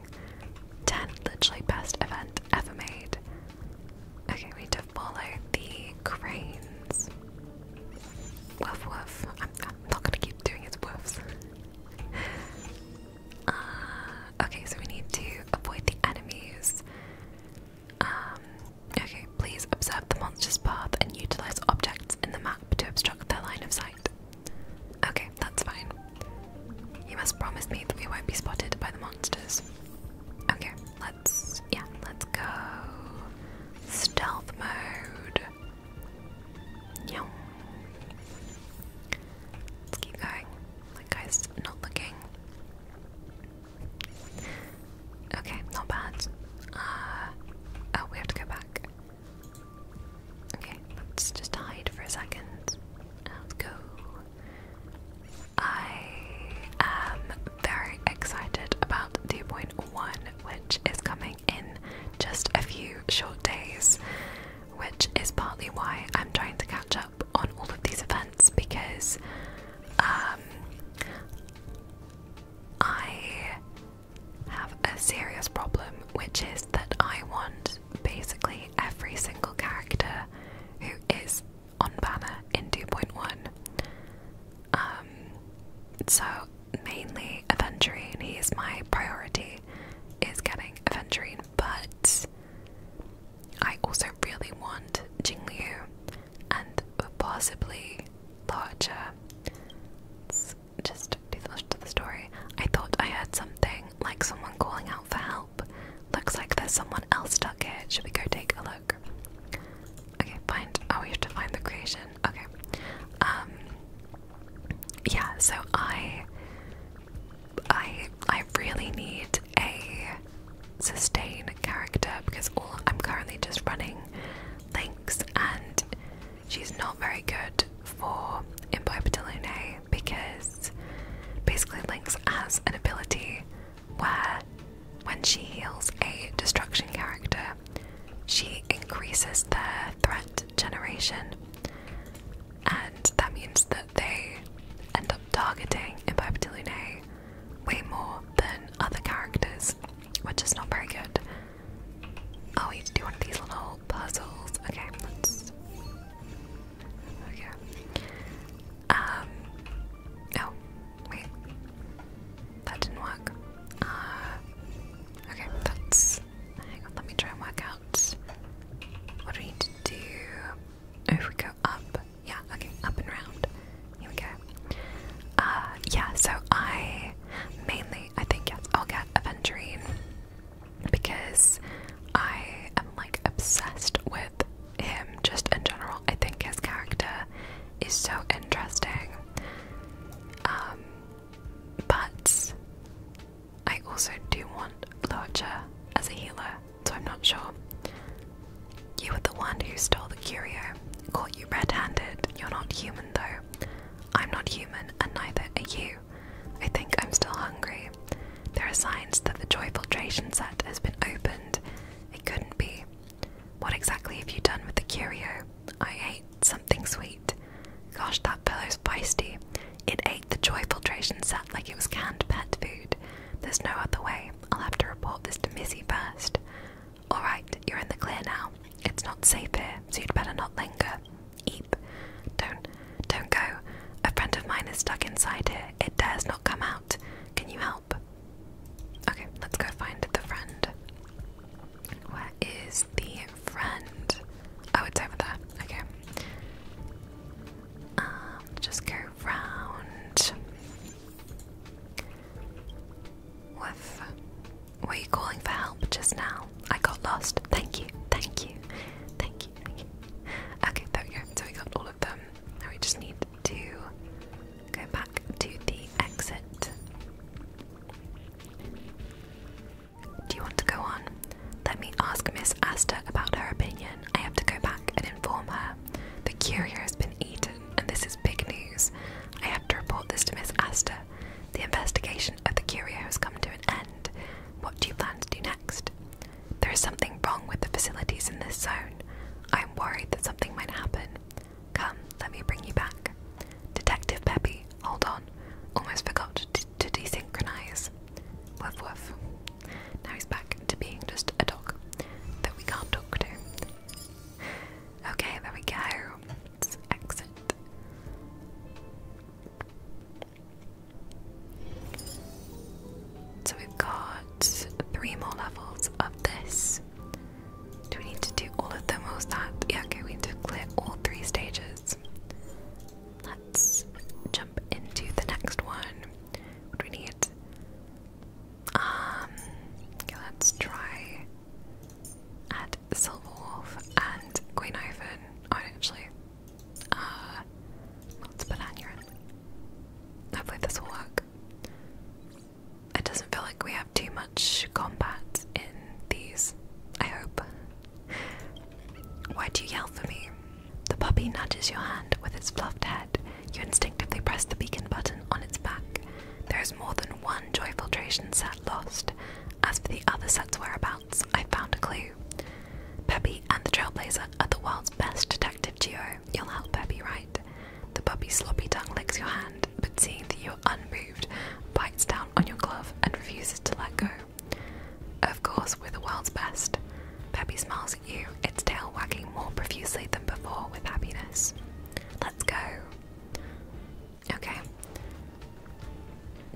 10 literally best event ever made. Okay, we need to follow the cranes. Woof woof. I'm, not gonna keep doing his woofs. Uh, okay, so we need to avoid the enemies. Um, okay, please observe the monster's path and utilize objects in the map to obstruct their line of sight. Okay, that's fine. You must promise me that we won't be spotted by the monsters. Okay, let's. yeah, let's go. Stealth mode. Yum. Let's keep going. That guy's not looking. Okay, not bad. Uh, oh, we have to go back. Okay, let's just hide for a second. Let's go. I am very excited about 2.1, which is coming in just a few short days, which is partly why I'm trying to catch up on all of these events because um, I have a serious problem, which is that I want basically every single character who is on banner in 2.1. Um, so mainly Aventurine, he is my priority, is getting Aventurine, but I also really want Jingliu and possibly larger. Let's just do the rest of the story. I thought I heard something, like someone calling out for help. Looks like there's someone else stuck here. Should we go take a look? Okay, find. Oh, we have to find the creation. Okay. Um. Yeah. So I. I. I really need a sustained character because all I'm currently just running links and she's not very good for Imbibitalune because basically Links has an ability where when she heals a destruction character, she increases their threat generation, and that means that they end up targeting Imbibitalune way more than other characters, which is not very good. Oh, we do one of these little puzzles. Okay, let's. Okay. Um. Oh, wait. That didn't work. Uh, okay, that's. Hang on, let me try and work out what do we need to do. Oh, if we go up. Yeah, okay, up and round. Here we go. Uh, yeah, so I mainly, I think, yes, I'll get Aventurine because I am like obsessed with him just in general. I think his character is so interesting. Um, but I also do want Lorcha as a healer so I'm not sure. You were the one who stole the curio. Caught you red handed. You're not human, though. I'm not human, and neither are you. I think I'm still hungry. There are signs that the joy filtration set has been opened. It couldn't be. What exactly have you done with the curio? I ate something sweet. Gosh, that fellow's feisty. It ate the joy filtration set like it was canned pet food. There's no other way. I'll have to report this to Missy first. Alright, you're in the clear now. It's not safe here, so you'd better not linger. Eep. Don't, don't go. A friend of mine is stuck inside here. It dares not come out. Can you help? Okay, let's go find the friend. Where is the friend? Oh, it's over there. Okay. Um, just go round. Woof. Were you calling for help just now? I got lost. Thank you, thank you, thank you, thank you. Okay, there we go. So we got all of them. Now we just need to go back to the exit. Do you want to go on? Let me ask Miss Asta about her opinion. I have to go back and inform her. The curio has been eaten and this is big news. I have to report this to Miss Astor. The investigation of the curio has come to an end. What do you plan to do next? There is something wrong with the facilities in this zone. I am worried that something might happen. Come, let me bring you back. Detective Peppy, hold on. Almost forgot to desynchronize. Woof woof. Now he's back to being just a dog that we can't talk to. Okay, there we go. exit. So we've got three more levels of this. Do we need to do all of them or that? Yeah, okay, to clear all three stages. Let's jump into the next one. do we need? Um, let's try at Silverwolf and Queen Ivan. Oh, actually, let's put Anurin. Hopefully, this will work. It doesn't feel like we have too much combat in these. I hope. Why do you yell for me? The puppy nudges your hand with its fluffed head. You instinctively press the beacon button on its back. There is more than one joy filtration set lost. As for the other set's whereabouts, I found a clue. Peppy and the Trailblazer are the world's best detective duo. You'll help Peppy, right? The puppy's sloppy tongue licks your hand, but seeing that you're unmoved, bites down on your glove and refuses to let go. Of course, we're the world's best. Peppy smiles at you, its tail wagging more profusely than before with happiness. Let's go. Okay.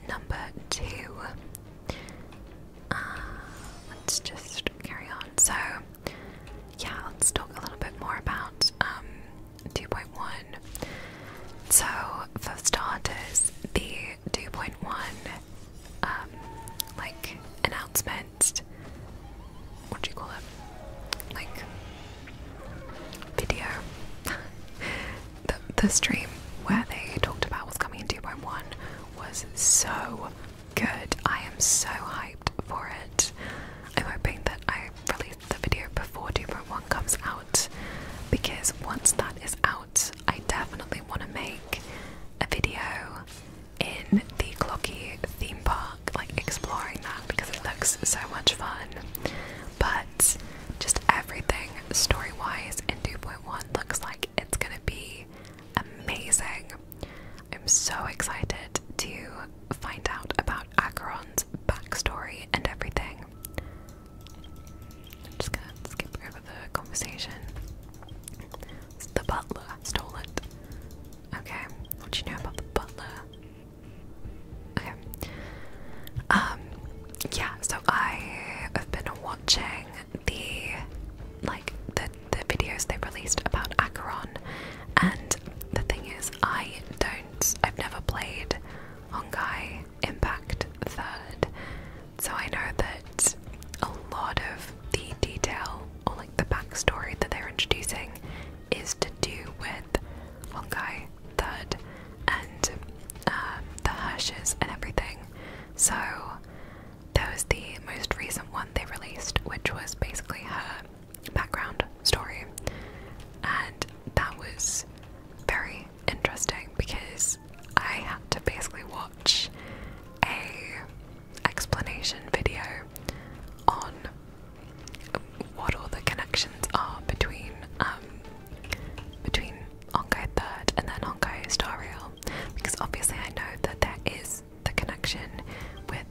Number two. Uh, let's just carry on. So, yeah, let's talk a little bit more about um, 2.1. So, first for starters, the 2.1 um, like announcement what do you call it? Like video. the the stream where they talked about what's coming in 2.1 was so good. I am so hyped for it. I'm hoping that I release the video before 2.1 comes out because once that is out, I definitely want to make a video in the Clocky theme park, like exploring that because it looks so much fun. But just everything story wise in 2.1 looks like it's gonna be amazing. I'm so excited to find out about Acheron's backstory and everything. just gonna skip over the conversation. The butler stole it. Okay, what do you know about the butler? Okay. Um, yeah, so I have been watching the like the the videos they released about Acheron and the thing is I don't I've never played Honkai Impact Third. So I know that a lot of the detail or like the backstory that they're introducing is to do with one guy third and um, the Hirsches and everything. So that was the most recent one they released, which was basically her background story, and that was very interesting because I had to basically watch a explanation video on what all the connections are between um, between Honkai Third and then Onkai Star Rail, because obviously I know that there is the connection with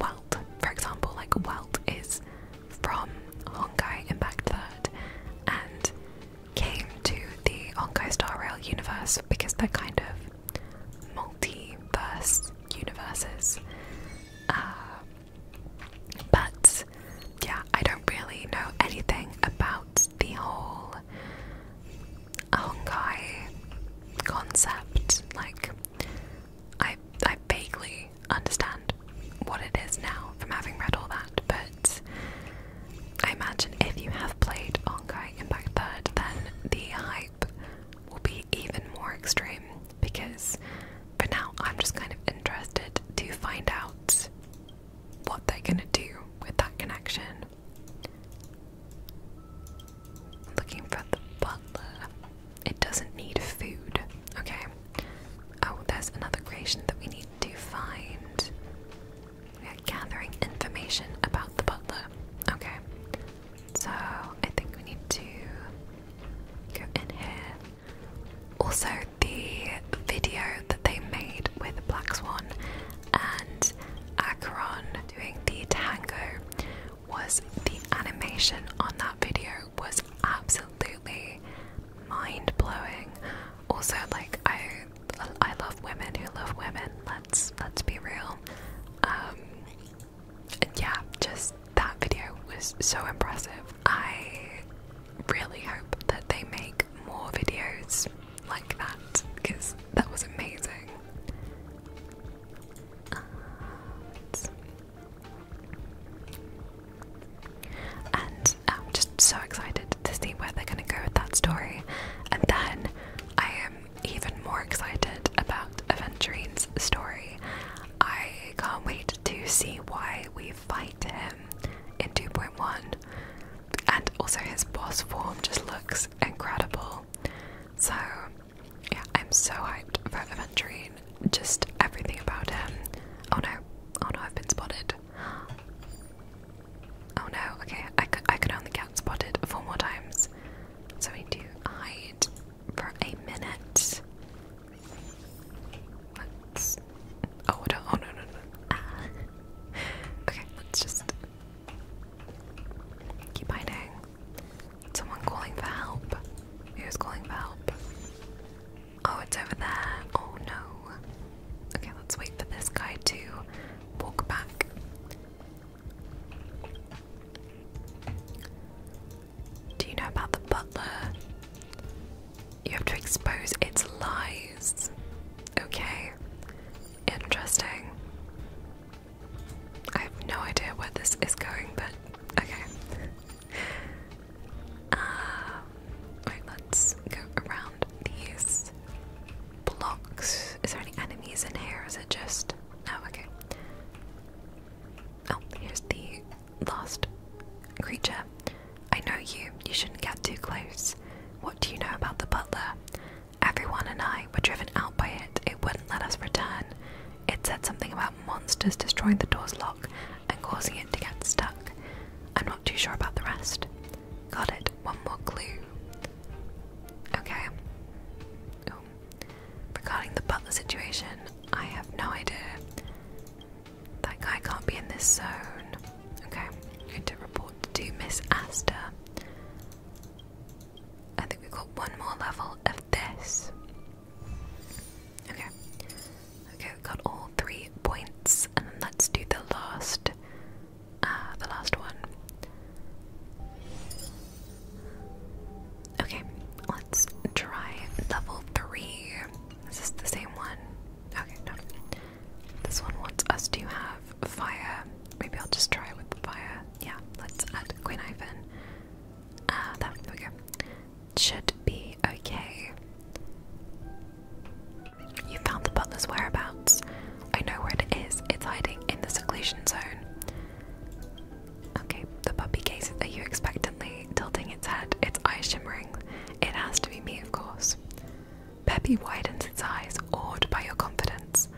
Welt, for example. Like Welt is from Onkai Impact Third and came to the Onkai Star Rail universe because they're kind of multiverse universes. Uh, but yeah, I don't really know anything about the whole Honkai concept. Like, I I vaguely understand what it is now from having read all that, but I imagine if you have played Honkai Impact Third, then the high will be even more extreme because for now I'm just kind of interested to find out what they're gonna do with that connection. Looking for the butler. It doesn't need food. Okay. Oh, there's another creation that we need to find. We are gathering information about the butler. Okay. So I think we need to go in here. Also, the video that they made with Black Swan and Acheron doing the tango was the animation on that video was absolutely mind blowing. Also, like I, I love women who love women. Let's let's be real. Um, and yeah, just that video was so impressive. I really hope that they make more videos like that because that was amazing. And, I'm um, just so excited to see where they're going to go with that story. And then I am even more excited about Aventurine's story. I can't wait to see why we fight him in 2.1. And also, his boss form just looks incredible. So, yeah, I'm so hyped for Aventurine. Just everything about him. Oh no, oh no, I've been spotted. Oh no, okay, I could, I could only get spotted four more times. So we do hide for a minute. Let's. Oh, what oh no, no, ah. Okay, let's just keep hiding. Someone calling for help. Who's calling for help? Oh, it's over there. Oh no. Okay, let's wait for this guy to walk back. Do you know about the butler? You have to expose its lies. Okay. Interesting. I have no idea where this is going, but okay. Um, let's go around these blocks. Is there any enemies in here? Is it just. No, okay. Oh, here's the last creature. I know you. You shouldn't get too close. What do you know about the butler? Everyone and I were driven out by it. It wouldn't let us return. It said something about monsters destroying the door's lock and causing it to get stuck. I'm not too sure about the rest. Got it. One more clue. Okay. Oh. Regarding the butler situation, I have no idea. That guy can't be in this zone. Okay, I'm going to report to Miss Astor. I think we've got one more level of this. Okay. Okay, we've got all three points, and then let's do the last uh the last one. Okay, let's try level three. Is this the same one? Okay, no. This one wants us to have fire. Maybe I'll just try with fire. Yeah, let's add Queen Ivan. Ah, there we go. Should be okay. You found the butler's whereabouts. I know where it is. It's hiding in the seclusion zone. Okay, the puppy gazes at you expectantly, tilting its head, its eyes shimmering. It has to be me, of course. Peppy widens its eyes, awed by your confidence.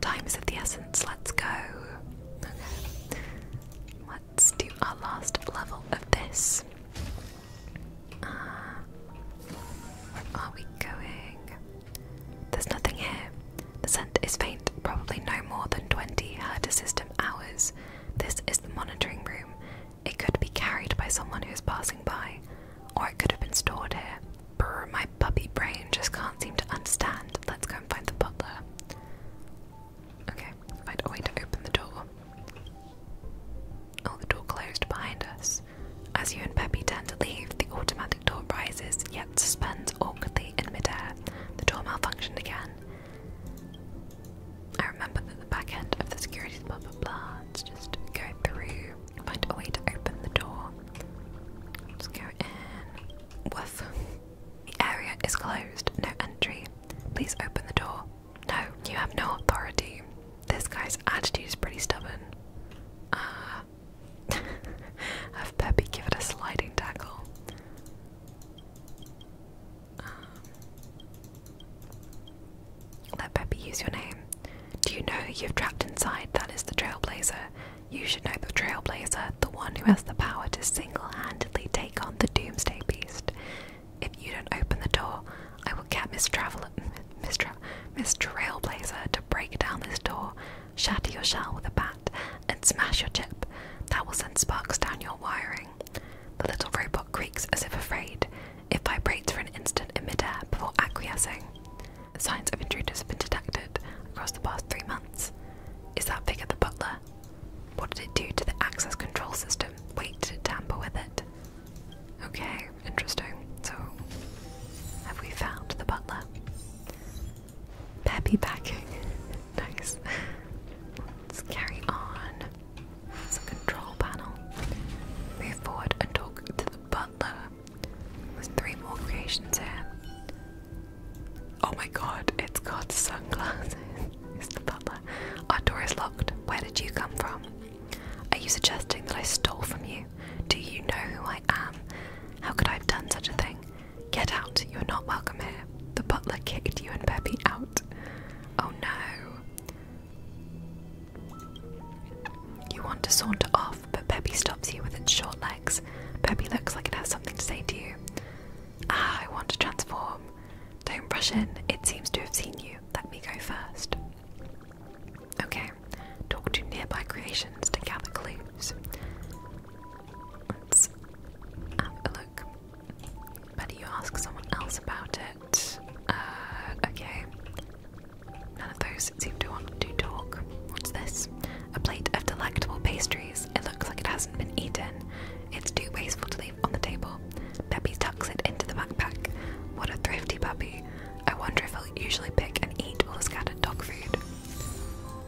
Time is of the essence, let's go. Let's do our last level of this. where uh, are we going? There's nothing here. The scent is faint, probably no more than 20 herder system hours. This is the monitoring room. It could be carried by someone who is passing by, or it could have been stored here. my puppy brain just can't seem to understand. Let's go and find the butler. Okay, find a way to open the door. Oh, the door closed behind us. As you and Peppy turn to leave, the automatic door rises, yet suspends awkwardly in midair. The door malfunctioned again. I remember that the back end of the securities blah blah blah. Let's just go through find a way to open the door. Let's go in. Woof. The area is closed. No entry. Please open the door. No, you have no authority. This guy's attitude is pretty stubborn. Ah. Uh, have Peppy give it a sliding tackle. Um, let Peppy use your name. Do you know you've trapped inside? That is the Trailblazer. You should know the Trailblazer, the one who has the power to single handedly take on the Doomsday Beast. If you don't open the door, I will get Miss Traveler, Miss, Miss Trailblazer to break down this door, shatter your shell with a bat, and smash your chip. That will send sparks down your wiring. The little robot creaks as if afraid. It vibrates for an instant in midair before acquiescing. Signs of intruders have been detected across the past three months. Is that figure the butler? What did it do to the access control system? Wait, did it tamper with it? Okay, interesting. So, have we found the butler? Peppy packing. nice. Let's carry on. It's a control panel. Move forward and talk to the butler. There's three more creations here. Oh my god, it's got sunglasses. It's the butler. Our door is locked. Where did you come from? Are you suggesting that I stole from you? Do you know who I am? How could I have done such a thing? Get out. You're not welcome here. The butler kicked you and Peppy out. Oh no. You want to saunter off, but Peppy stops you with its short legs. Peppy looks like it has something to say to you. Ah, I want to transform. Don't rush in, it seems to have seen you. Let me go first. Okay, talk to nearby creations to gather clues look. you ask someone else about it. Uh, okay. None of those seem to want to talk. What's this? A plate of delectable pastries. It looks like it hasn't been eaten. It's too wasteful to leave on the table. Peppy tucks it into the backpack. What a thrifty puppy. I wonder if he'll usually pick and eat all the scattered dog food.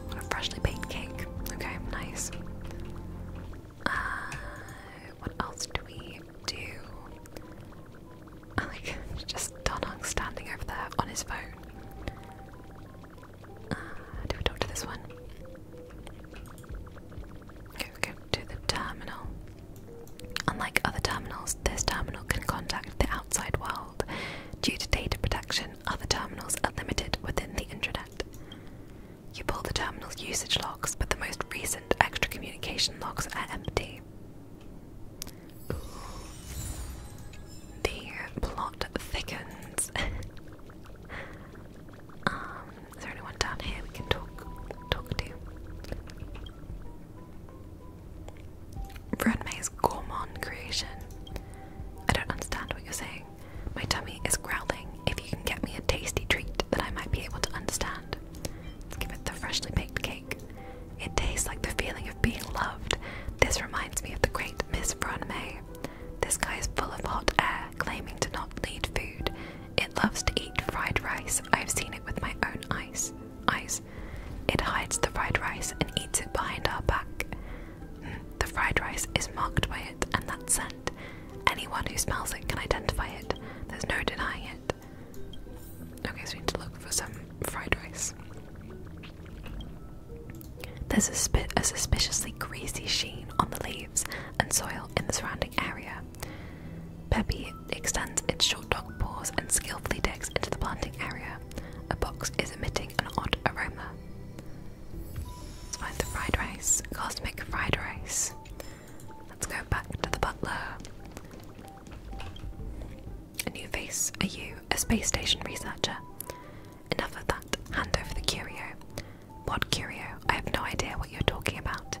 What a freshly baked cake. Okay, nice. Uh, what else do we do? Oh just Donong standing over there on his phone. Uh, do we talk to this one? Okay, we go the terminal. Unlike other terminals, this terminal can contact the outside world. Due to data protection, other terminals are limited within the intranet. You pull the terminal's usage logs, but the most recent extra communication logs are empty. The plot thickens. um, is there anyone down here we can talk talk to? Renmay's gourmand creation. I don't understand what you're saying. My tummy is growling. If you can get me a tasty treat that I might be able to understand. give it the freshly baked cake. It tastes like the feeling of being loved. This reminds me of the great Miss Bronme. This guy is full of hot air, claiming to not need food. It loves to eat fried rice. I've seen it with my own eyes. Eyes. It hides the fried rice and eats it behind our back. Hmm, the fried rice is marked by it and that scent. Anyone who smells it can identify it. There's no denying it. Okay, so we need to look for some fried rice. There's a, spi a suspiciously greasy sheen on the leaves and soil in the surrounding area. Peppy extends its short dog paws and skillfully digs into the planting area. A box is emitting an odd aroma. Let's find the fried rice. Cosmic fried rice. Let's go back to the butler. A new face, are you a space station researcher? Enough of that. Hand over the curio. What curio? I have no idea what you're talking about.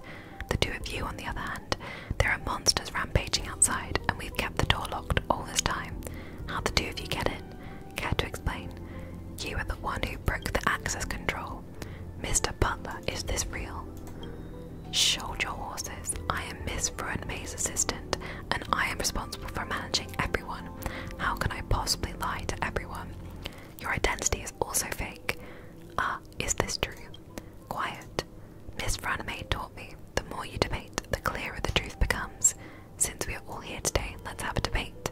The two of you, on the other hand, there are monsters rampaging outside, and we've kept the door locked all this time. How the two of you get in? Care to explain? You are the one who broke the access control. Mr. Butler, is this real? Show your horses. I am Miss Bruin assistant, and I am responsible for managing everyone. How can I possibly lie to everyone? Your identity is also fake. Ah, is this true? Quiet. Miss Franame taught me the more you debate, the clearer the truth becomes. Since we are all here today, let's have a debate.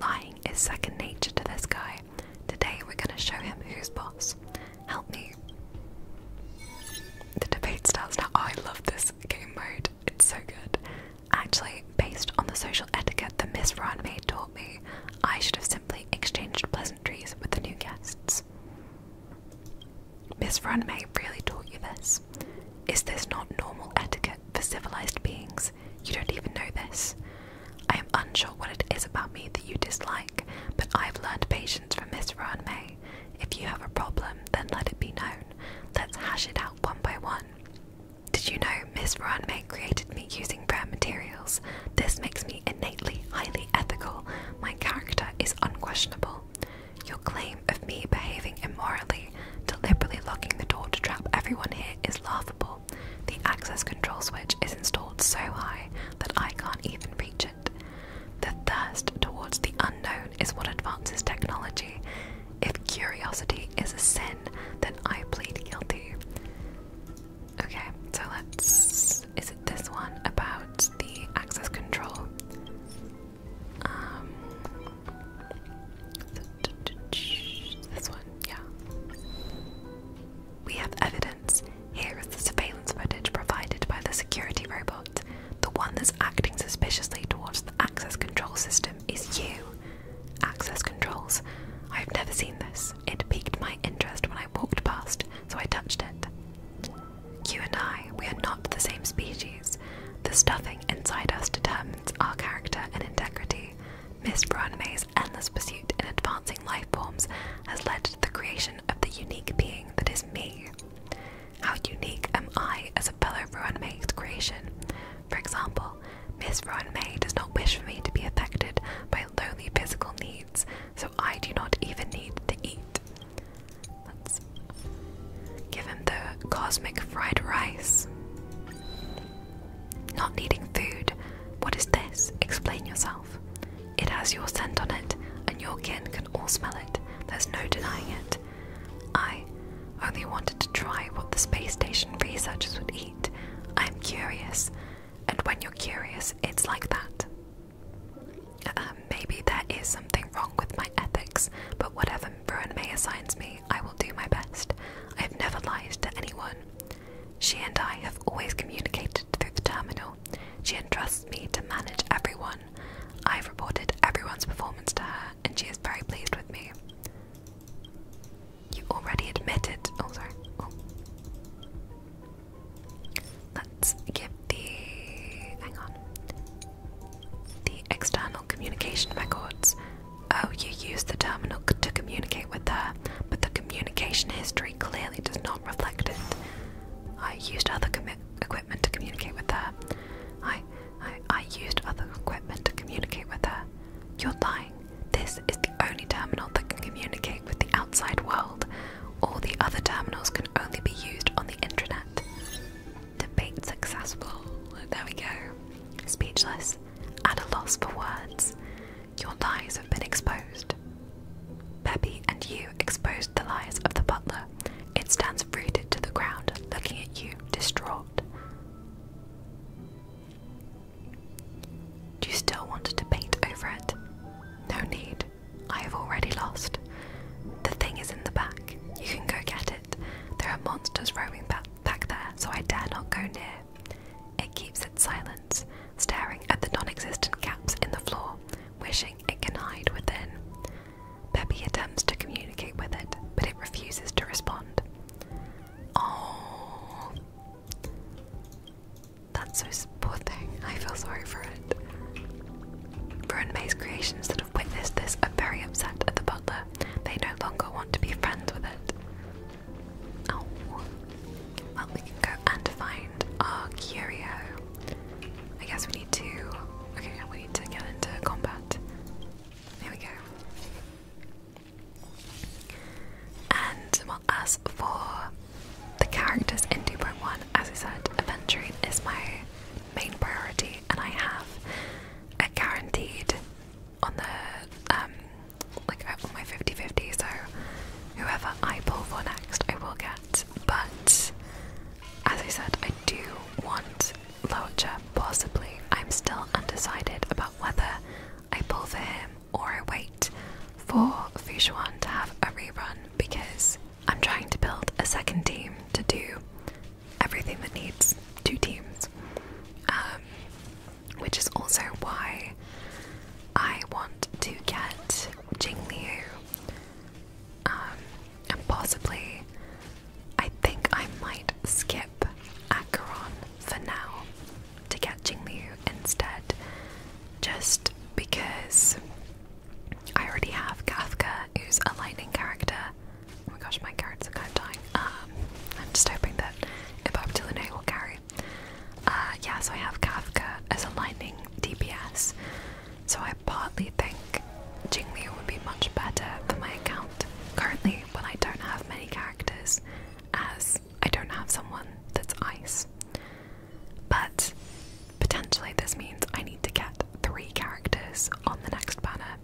Lying is second nature to this guy. Today we're gonna show him who's boss. Help me. The debate starts now. Oh, I love this game mode. It's so good. Actually, based on the social etiquette that Miss Ranmaid taught me, I should have simply exchanged pleasantries with the new guests. Miss Ranmaid really taught you this. Is this not normal etiquette for civilized beings? You don't even know this. I am unsure what it is about me that you dislike, but I've learned patience from Miss Rowan May. If you have a problem, then let it be known. Let's hash it out one by one. Did you know Miss Rowan May created me using rare materials? This makes me innately highly ethical. My character is unquestionable. Your claim of me behaving immorally, deliberately locking the door to trap everyone here, is laughable. The access control switch is installed so high that I can't even reach it. The thirst towards the unknown is what advances technology. If curiosity is a sin, then I plead guilty. Okay, so let's. Is it this one about the access control? Um, this one, yeah. We have evidence. Here is the surveillance footage provided by the security robot. The one that's acting suspiciously towards the access control system is you. Access controls. I've never seen this. It piqued my interest when I walked past, so I touched it. You and I, we are not the same species. The stuffing inside us determines our character and integrity. Miss Branmay's endless pursuit in advancing life forms has led to the creation of the unique being that is me. How unique am I as a fellow Ruanmay's creation? For example, Miss Ruanmay does not wish for me to be affected by lowly physical needs, so I do not even need to eat. Let's give him the cosmic fried rice. Not needing food. What is this? Explain yourself. It has your scent on it, and your kin can all smell it. There's no denying it. I only wanted to try what the space station researchers would eat. I'm curious, and when you're curious, it's like that. Um, maybe there is something wrong with my ethics, but whatever Bruin May assign me, I will do my best. I have never lied to anyone. She and I have always communicated through the terminal. She entrusts me to manage everyone. I've reported everyone's performance to her, and she is very pleased with me. You already admitted. Oh, sorry. Oh. Let's give the. Hang on. The external communication records. Oh, you used the terminal to communicate with her, but the communication history clearly does not reflect it. I used other equipment to communicate with her. I, I, used other equipment to communicate with her. You're lying. This is the only terminal that can communicate with the outside world. All the other terminals can only be used on the intranet. Debate successful. There we go. Speechless, at a loss for words. Your lies have been exposed. Peppy and you exposed the lies of the butler. It stands rooted to the ground, looking at you, distraught. Do you still want to paint over it? No need. I have already lost. The thing is in the back. You can go get it. There are monsters roaming back, back there, so I dare not go near. It keeps its silence, staring at the non existent gaps in the floor, wishing it can hide within. Peppy attempts to communicate with it, but it refuses to respond. Oh, that's poor thing. I feel sorry for it. Bruin creations that have witnessed this are very upset at the butler. They no longer want to be friends with it. Oh. Well, we can go and find our curio. I guess we need to. Okay, we need to get into combat. There we go. And as for the characters in 2.1, as I said, adventuring is my main priority, and I have a guaranteed on the um like over my 50-50, so whoever I pull for next I will get. But as I said, I do want Loacher, possibly. I'm still undecided about whether I pull for him or I wait for Fushuan to have a rerun because I'm trying to build a second team to do everything that needs two teams. Um, which is also why I want to get Jingliu. Um, and possibly, I think I might skip Acheron for now to get Jingliu instead, just because I already have Kafka, who's a lightning character. Oh my gosh, my cards are kind of dying. Um, I'm just hoping that Ibab will carry uh, yeah, so I have Kafka as a lightning DPS, so I partly think Jingliu would be much better for my account currently when I don't have many characters, as I don't have someone that's ice. But potentially, this means I need to get three characters on the next banner,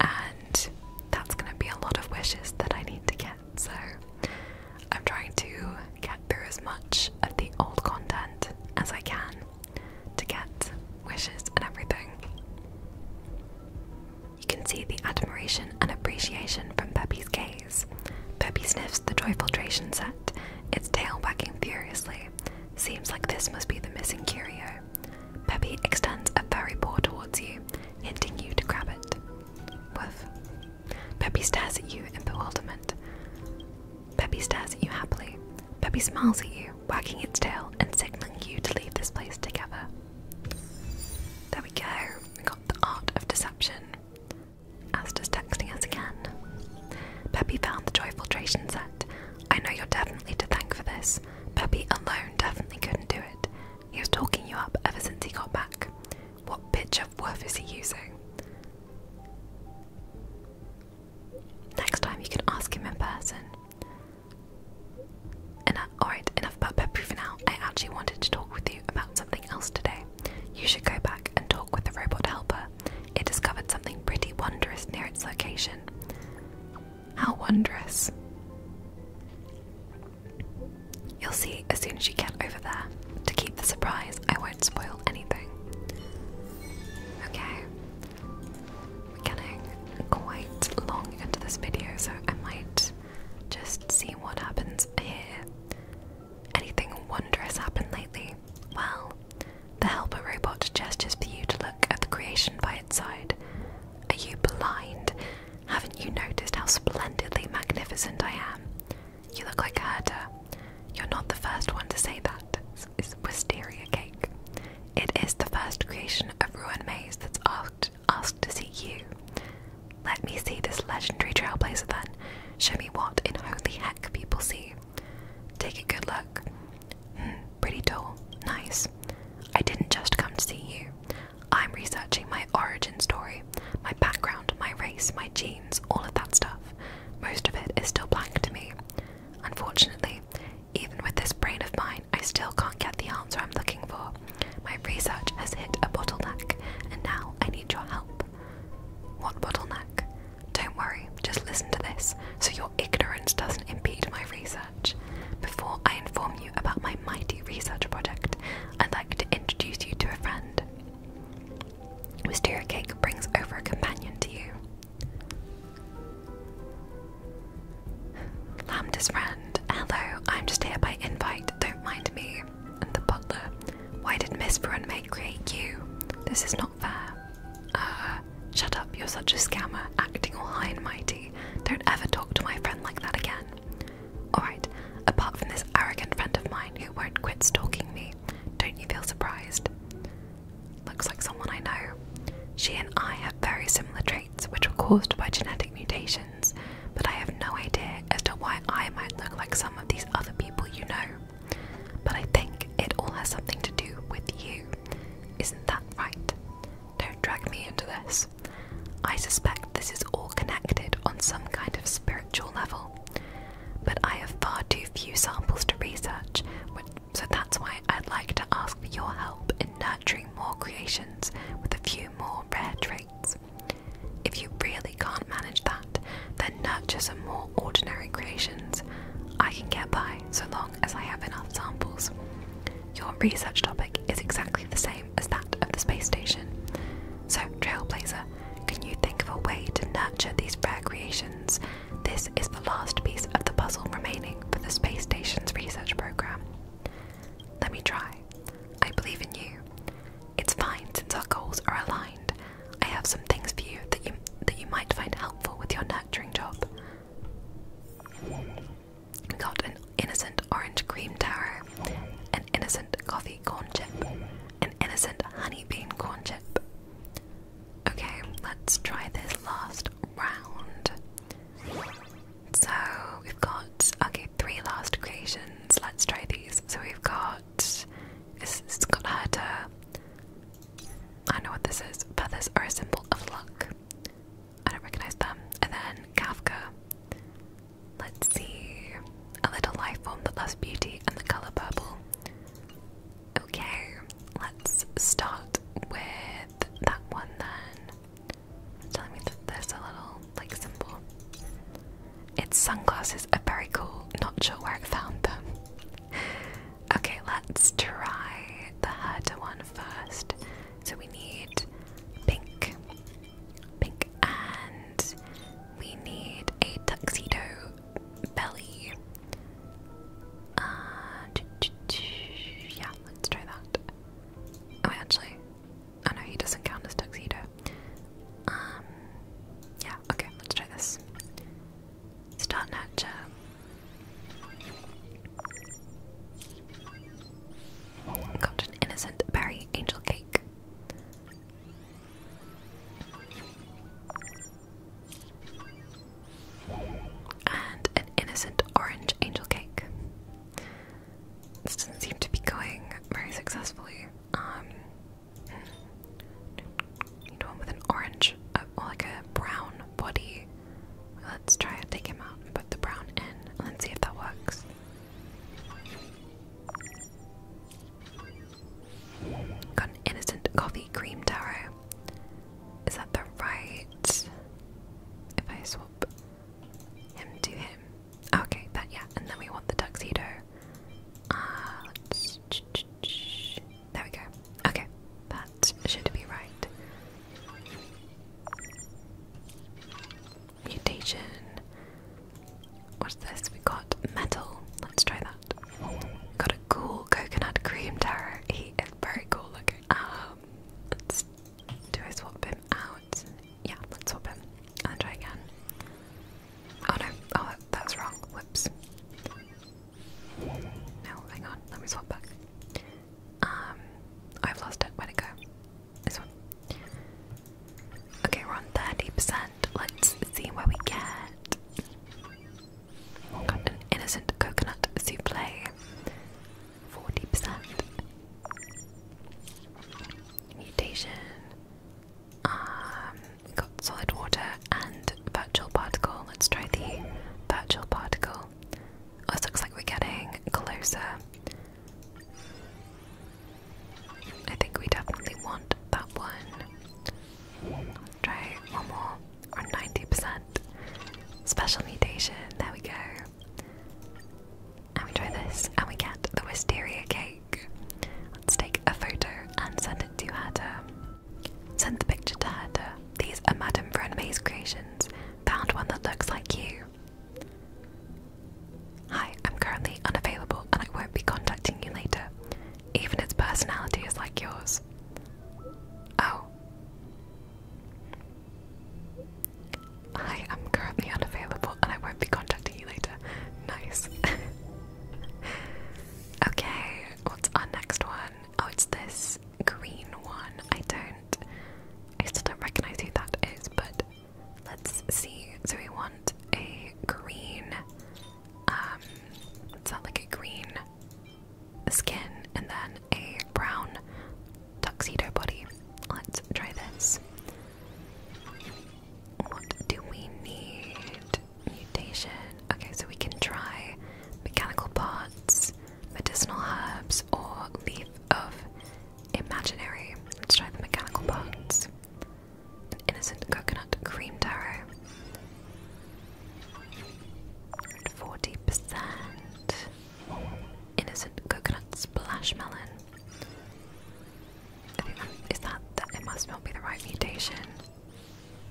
and that's going to be a lot of wishes that I need to get so I'm trying to get through as much of the old content as I can to get wishes and everything. You can see the admiration and appreciation from Peppy's gaze. Peppy sniffs the Joy Filtration set, its tail wagging furiously. Seems like this must be the missing curio. Peppy extends a furry paw towards you, hinting you to grab it. Woof, Peppy stares at you in bewilderment. Peppy stares at you happily. Peppy smiles at you, wagging its tail and signaling you to leave this place together. There we go. We got the art of deception. Asta's texting us again. Peppy found the joy filtration set. I know you're definitely to thank for this. Peppy alone definitely couldn't do it. He was talking you up ever since he got back. What pitch of woof is he using? Next time you can ask him in person. alright, enough about Pepu for now. I actually wanted to talk with you about something else today. You should go back and talk with the robot helper. It discovered something pretty wondrous near its location. How wondrous! You'll see as soon as you get over there. To keep the surprise, I won't spoil anything. Okay. We're getting quite long into this video, so I might just see what happens here. Anything wondrous happen lately? Well, the helper robot gestures for you to look at the creation by its side. Are you blind? Haven't you noticed how splendidly magnificent I am? You look like a herder. You're not the first one to say that. It's, wisteria cake. It is the first creation of Ruin Maze that's asked asked to see you. Let me see this legendary trailblazer then. Show me what in holy heck people see. Take a good look. Hmm, pretty doll, Nice. I didn't just come to see you. I'm researching my origin story. My background, my race, my genes, all of that stuff. Most of it is still blank to me. Unfortunately, even with this brain of mine, I still can't get the answer I'm looking for. My research has hit a bottleneck, and now I need your help. What bottleneck? Don't worry, just listen to this so your ignorance doesn't impede my research. Before I inform you about my mighty research project, I'd like to introduce you to a friend. Mr. cake brings over a companion to you. Lambda's friend, hello, I'm just here by invite, don't mind me. And the butler, why did Miss Brunmate create you? This is not fair. Uh, shut up, you're such a scammer, acting all high and mighty. Don't ever talk to my friend like that again. Alright, apart from this arrogant friend of mine who won't quit stalking me, don't you feel surprised? Looks like someone I know. She and I have very similar traits, which were caused by genetic mutations, but I have no idea as to why I might look like some of these other people you know. But I think it all has something to do with you. Isn't that right? Don't drag me into this. I suspect this is all connected on some kind of spiritual level but I have far too few samples to research, so that's why I'd like to ask for your help in nurturing more creations with a few more rare traits. If you really can't manage that, then nurture some more ordinary creations. I can get by so long as I have enough samples. Your research topic is exactly the same as that of the space station. So, Trailblazer, can you think of a way to nurture these rare creations? This is the last piece of the puzzle remaining for the space station's research program. Let me try. I believe in you. It's fine since our goals are aligned. I have some things for you that you that you might find helpful with your nurturing job. Got an innocent orange cream tower, an innocent coffee corn chip. An innocent honey bean corn chip. Okay, let's try this last round. So we've got okay, three last creations. Let's try these. So we've got it's, it's got Herta. I know what this is. Feathers are a symbol of luck. I don't recognize them. And then Kafka. Let's see. A little life form that loves beauty and the color purple. Okay, let's start with that one then. It's me that there's a little like symbol. Its sunglasses are very cool, not sure where I found them. Okay, let's try the harder one first. So we need pink, pink, and we need a tuxedo belly. Uh, yeah, let's try that. Oh, actually, oh no, he doesn't count as tuxedo. Um, yeah, okay, let's try this. Start nurture. Got an innocent berry angel cake. And an innocent orange angel cake. This doesn't seem to be going very successfully. Um, hmm. need one with an orange, uh, like a brown body. Let's try and take him out and put the brown in. and see if that works. Got an innocent coffee cream tarot. Is that the right? If I swap him to him. Okay, but yeah, and then we want the tuxedo. Uh, There we go. Okay, that should be right. Mutation. What's this? We got metal. Let's try that. We got a cool coconut cream tower. He is very cool looking. Um, let's do I swap him out? Yeah, let's swap him and try again. Oh no! Oh, that, was wrong. Whoops. No, hang on. Let me swap back. Um, I've lost it. Where'd it go? This one. Okay, we're on 30% let's see what we get. innocent coconut souffle, 40%. Mutation. Um, got solid water and virtual particle. Let's try the virtual particle. Oh, this looks like we're getting closer. I think we definitely want that one. Try one more on 90%. Special mutation, there we go. And we try this and we get the wisteria cake. Let's take a photo and send it to Hatter. Send the picture to Hatter. These are Madame Vernemay's creations. Found one that looks like you. Hi, I'm currently unavailable and I won't be contacting you later. Even its personality is like yours. Oh. I am currently unavailable and I won't be contacting you later. Nice. okay, what's our next one? Oh, it's this green one. I don't. I still don't recognize who that is, but let's see. So we want a green um, it's not like a green skin and then a brown tuxedo body. Let's try this. What do we need? Mutation. Okay, so we can try mechanical parts, medicinal herbs, or leaf of imaginary. Let's try the mechanical parts innocent coconut cream taro. 40%. Innocent coconut splash melon. I that it must not be the right mutation.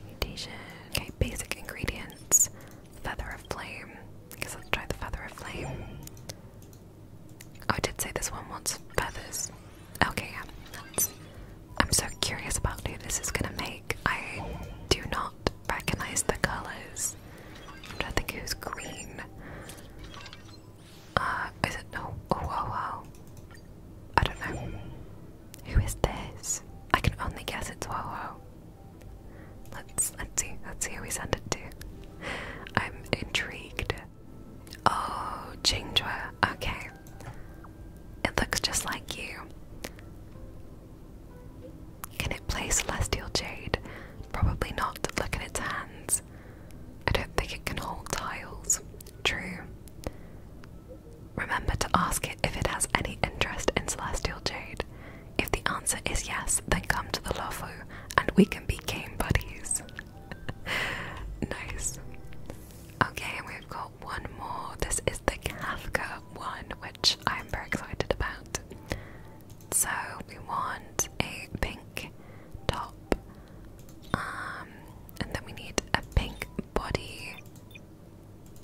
Mutation. Okay, basic ingredients. Feather of flame. I let's try the feather of flame. Oh, I did say this one wants feathers. Okay, yeah. I'm so curious about who this is gonna make. I do not recognize the colors. I'm trying to green. Uh, is it no? Oh, wow, oh, oh, oh. I don't know. Who is this? I can only guess it's wow, wow. Let's let's see. Let's see who we send it to. I'm intrigued. Oh, Jinghua. Okay. It looks just like you. Can it play celestial jade? Probably not. Look at its hands. I don't think it can hold tiles. True. Remember to ask it if it has any interest in celestial jade. If the answer is yes, then come to the Lofu and we can be game buddies. nice. Okay, we've got one more. This is the Kafka one, which I'm very excited about. So we want a pink top, um, and then we need a pink body.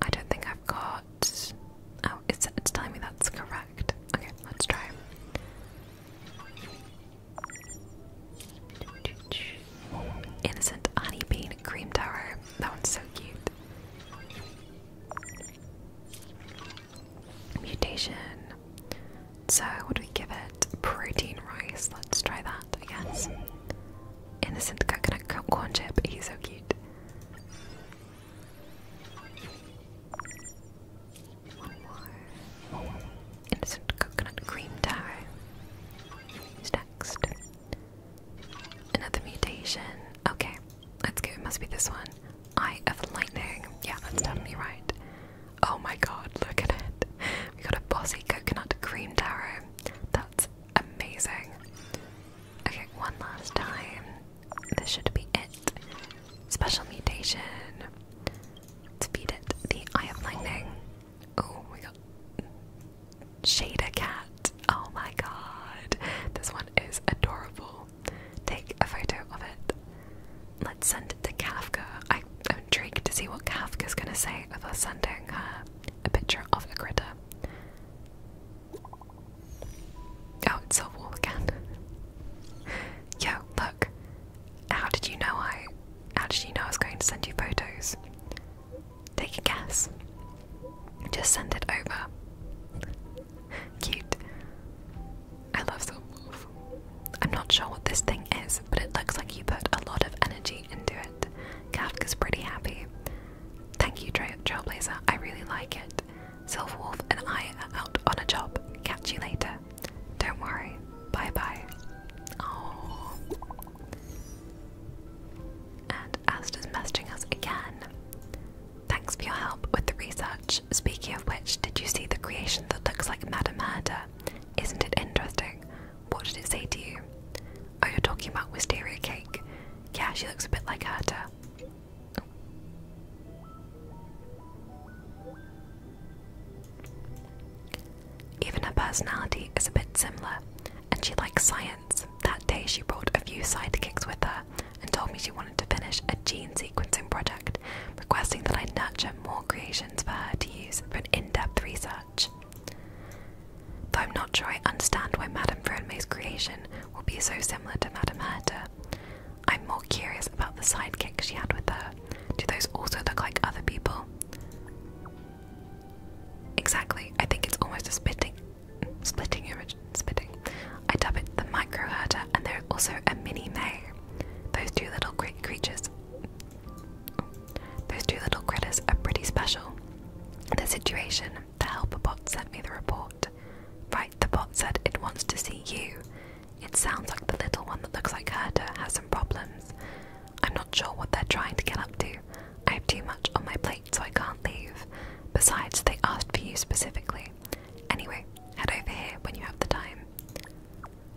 I don't think I've got. Oh, it's, it's telling me that's correct. Okay, let's try. Innocent Honey Bean Cream Tower. That one's so cute. Mutation. So, what do we give it? Protein rice. Let's try that, I Innocent coconut corn chip. He's so cute. One more. Innocent coconut cream tower. Who's next? Another mutation. Okay, let's go. It must be this one. Eye of lightning. Yeah, that's definitely right. Oh my god, look at it. We got a bossy coconut cream darrow. That's amazing. Okay, one last time. This should be it. Special mutation. Let's it the eye of lightning. Oh, we got Shader Cat. Oh my god. This one is adorable. Take a photo of it. Let's send it to Kafka. I, am intrigued to see what Kafka's gonna say about us sending her a picture of a critter. Oh, it's a wall again. Yo, look. How did you know I. How did you know I was going to send you photos? Take a guess. Just send it over. Cute. I love the Silverwolf. I'm not sure what this thing is, but it looks like you put a lot of energy into it. Kafka's pretty happy. Thank you, Trailblazer. I really like it. Silverwolf and I are out on a job. Catch you later. Don't worry. Bye bye. Oh and Ast messaging us again. Thanks for your help with the research. Speaking of which, did you see the creation that looks like Madame Murder? Isn't it interesting? What did it say to you? Oh, you're talking about Wisteria Cake. Yeah, she looks a bit like Herta. Even her personality is a bit similar, and she likes science that day, she brought a few sidekicks with her and told me she wanted to finish a gene sequencing project, requesting that I nurture more creations for her to use for an in depth research. Though I'm not sure I understand why Madame Vrome's creation will be so similar to Madame Herta, I'm more curious about the sidekicks she had with her. Do those also look like other people? Exactly, I think it's almost a spitting splitting origin I dub it the micro herder and they're also a mini may. Those two little great creatures those two little critters are pretty special. The situation, the helper bot sent me the report. Right, the bot said it wants to see you. It sounds like the little one that looks like Herder has some problems. I'm not sure what they're trying to get up to. I have too much on my plate so I can't leave. Besides, they asked for you specifically. Anyway, head over here when you have the time.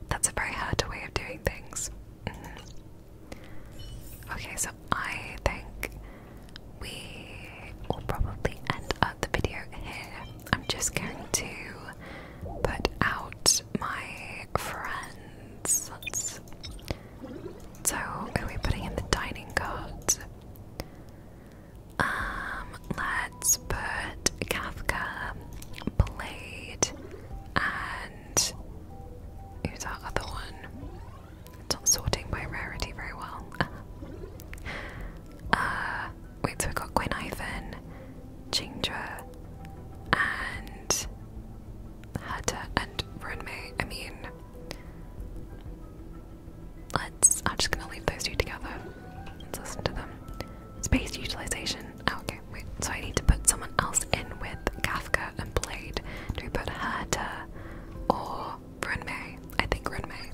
That's a very hard way of doing things. Mm-hmm. Okay, so I think we will probably end up the video here. I'm just going to put out my friends. So are we putting in the dining cards? Um, let's put Kafka, Blade, and who's our other one? not sorting by rarity very well. Uh, wait, so we got Gwen Ivan, Jingdra, and Herta and Renmei. I mean, Let's. I'm just gonna leave those two together. Let's listen to them. Space utilization. Oh, okay, So I need to put someone else in with Kafka and Blade. Do we put Herta or Renmei? I think Renmei.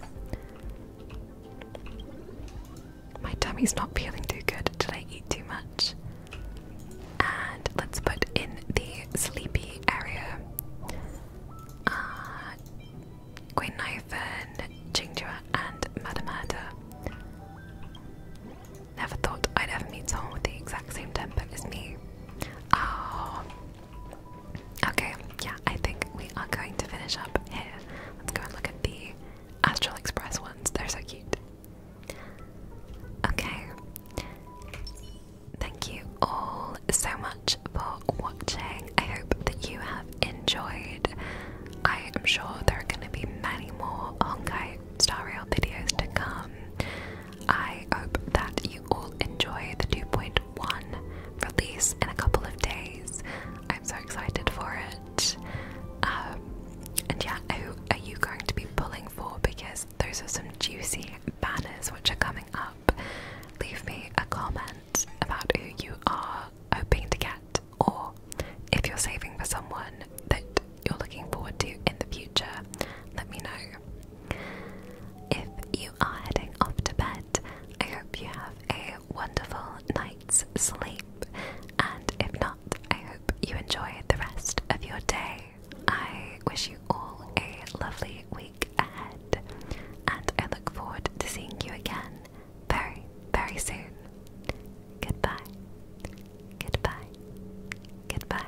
My tummy's not feeling too good. Did I eat too much? And let's put in the sleepy area uh, Queen Nofen, Jingjua, and Madamada. Never thought I'd ever meet someone with the exact same temper as me. Oh. Okay, yeah, I think we are going to finish up here. Let's go and look at the Astral Express ones. They're so cute. Okay. Thank you all so much for watching. I hope that you have enjoyed. I am sure there are going to be many more Honkai Star Rail videos to come. I hope that you all enjoy the 2.1 release in a couple of days. I'm so excited for it. Um, and yeah, who are you going to be pulling for? Because those are some juicy banners which are coming up. Leave me a comment about who you are hoping to get, or if you're saving for someone that you're looking forward to in the future, let me know. If you are heading off to bed, I hope you have a wonderful night's sleep, and if not, I hope you enjoy the rest of your day. I wish you all a lovely week ahead, and I look forward to seeing you again very, very soon. Goodbye. Goodbye. Goodbye.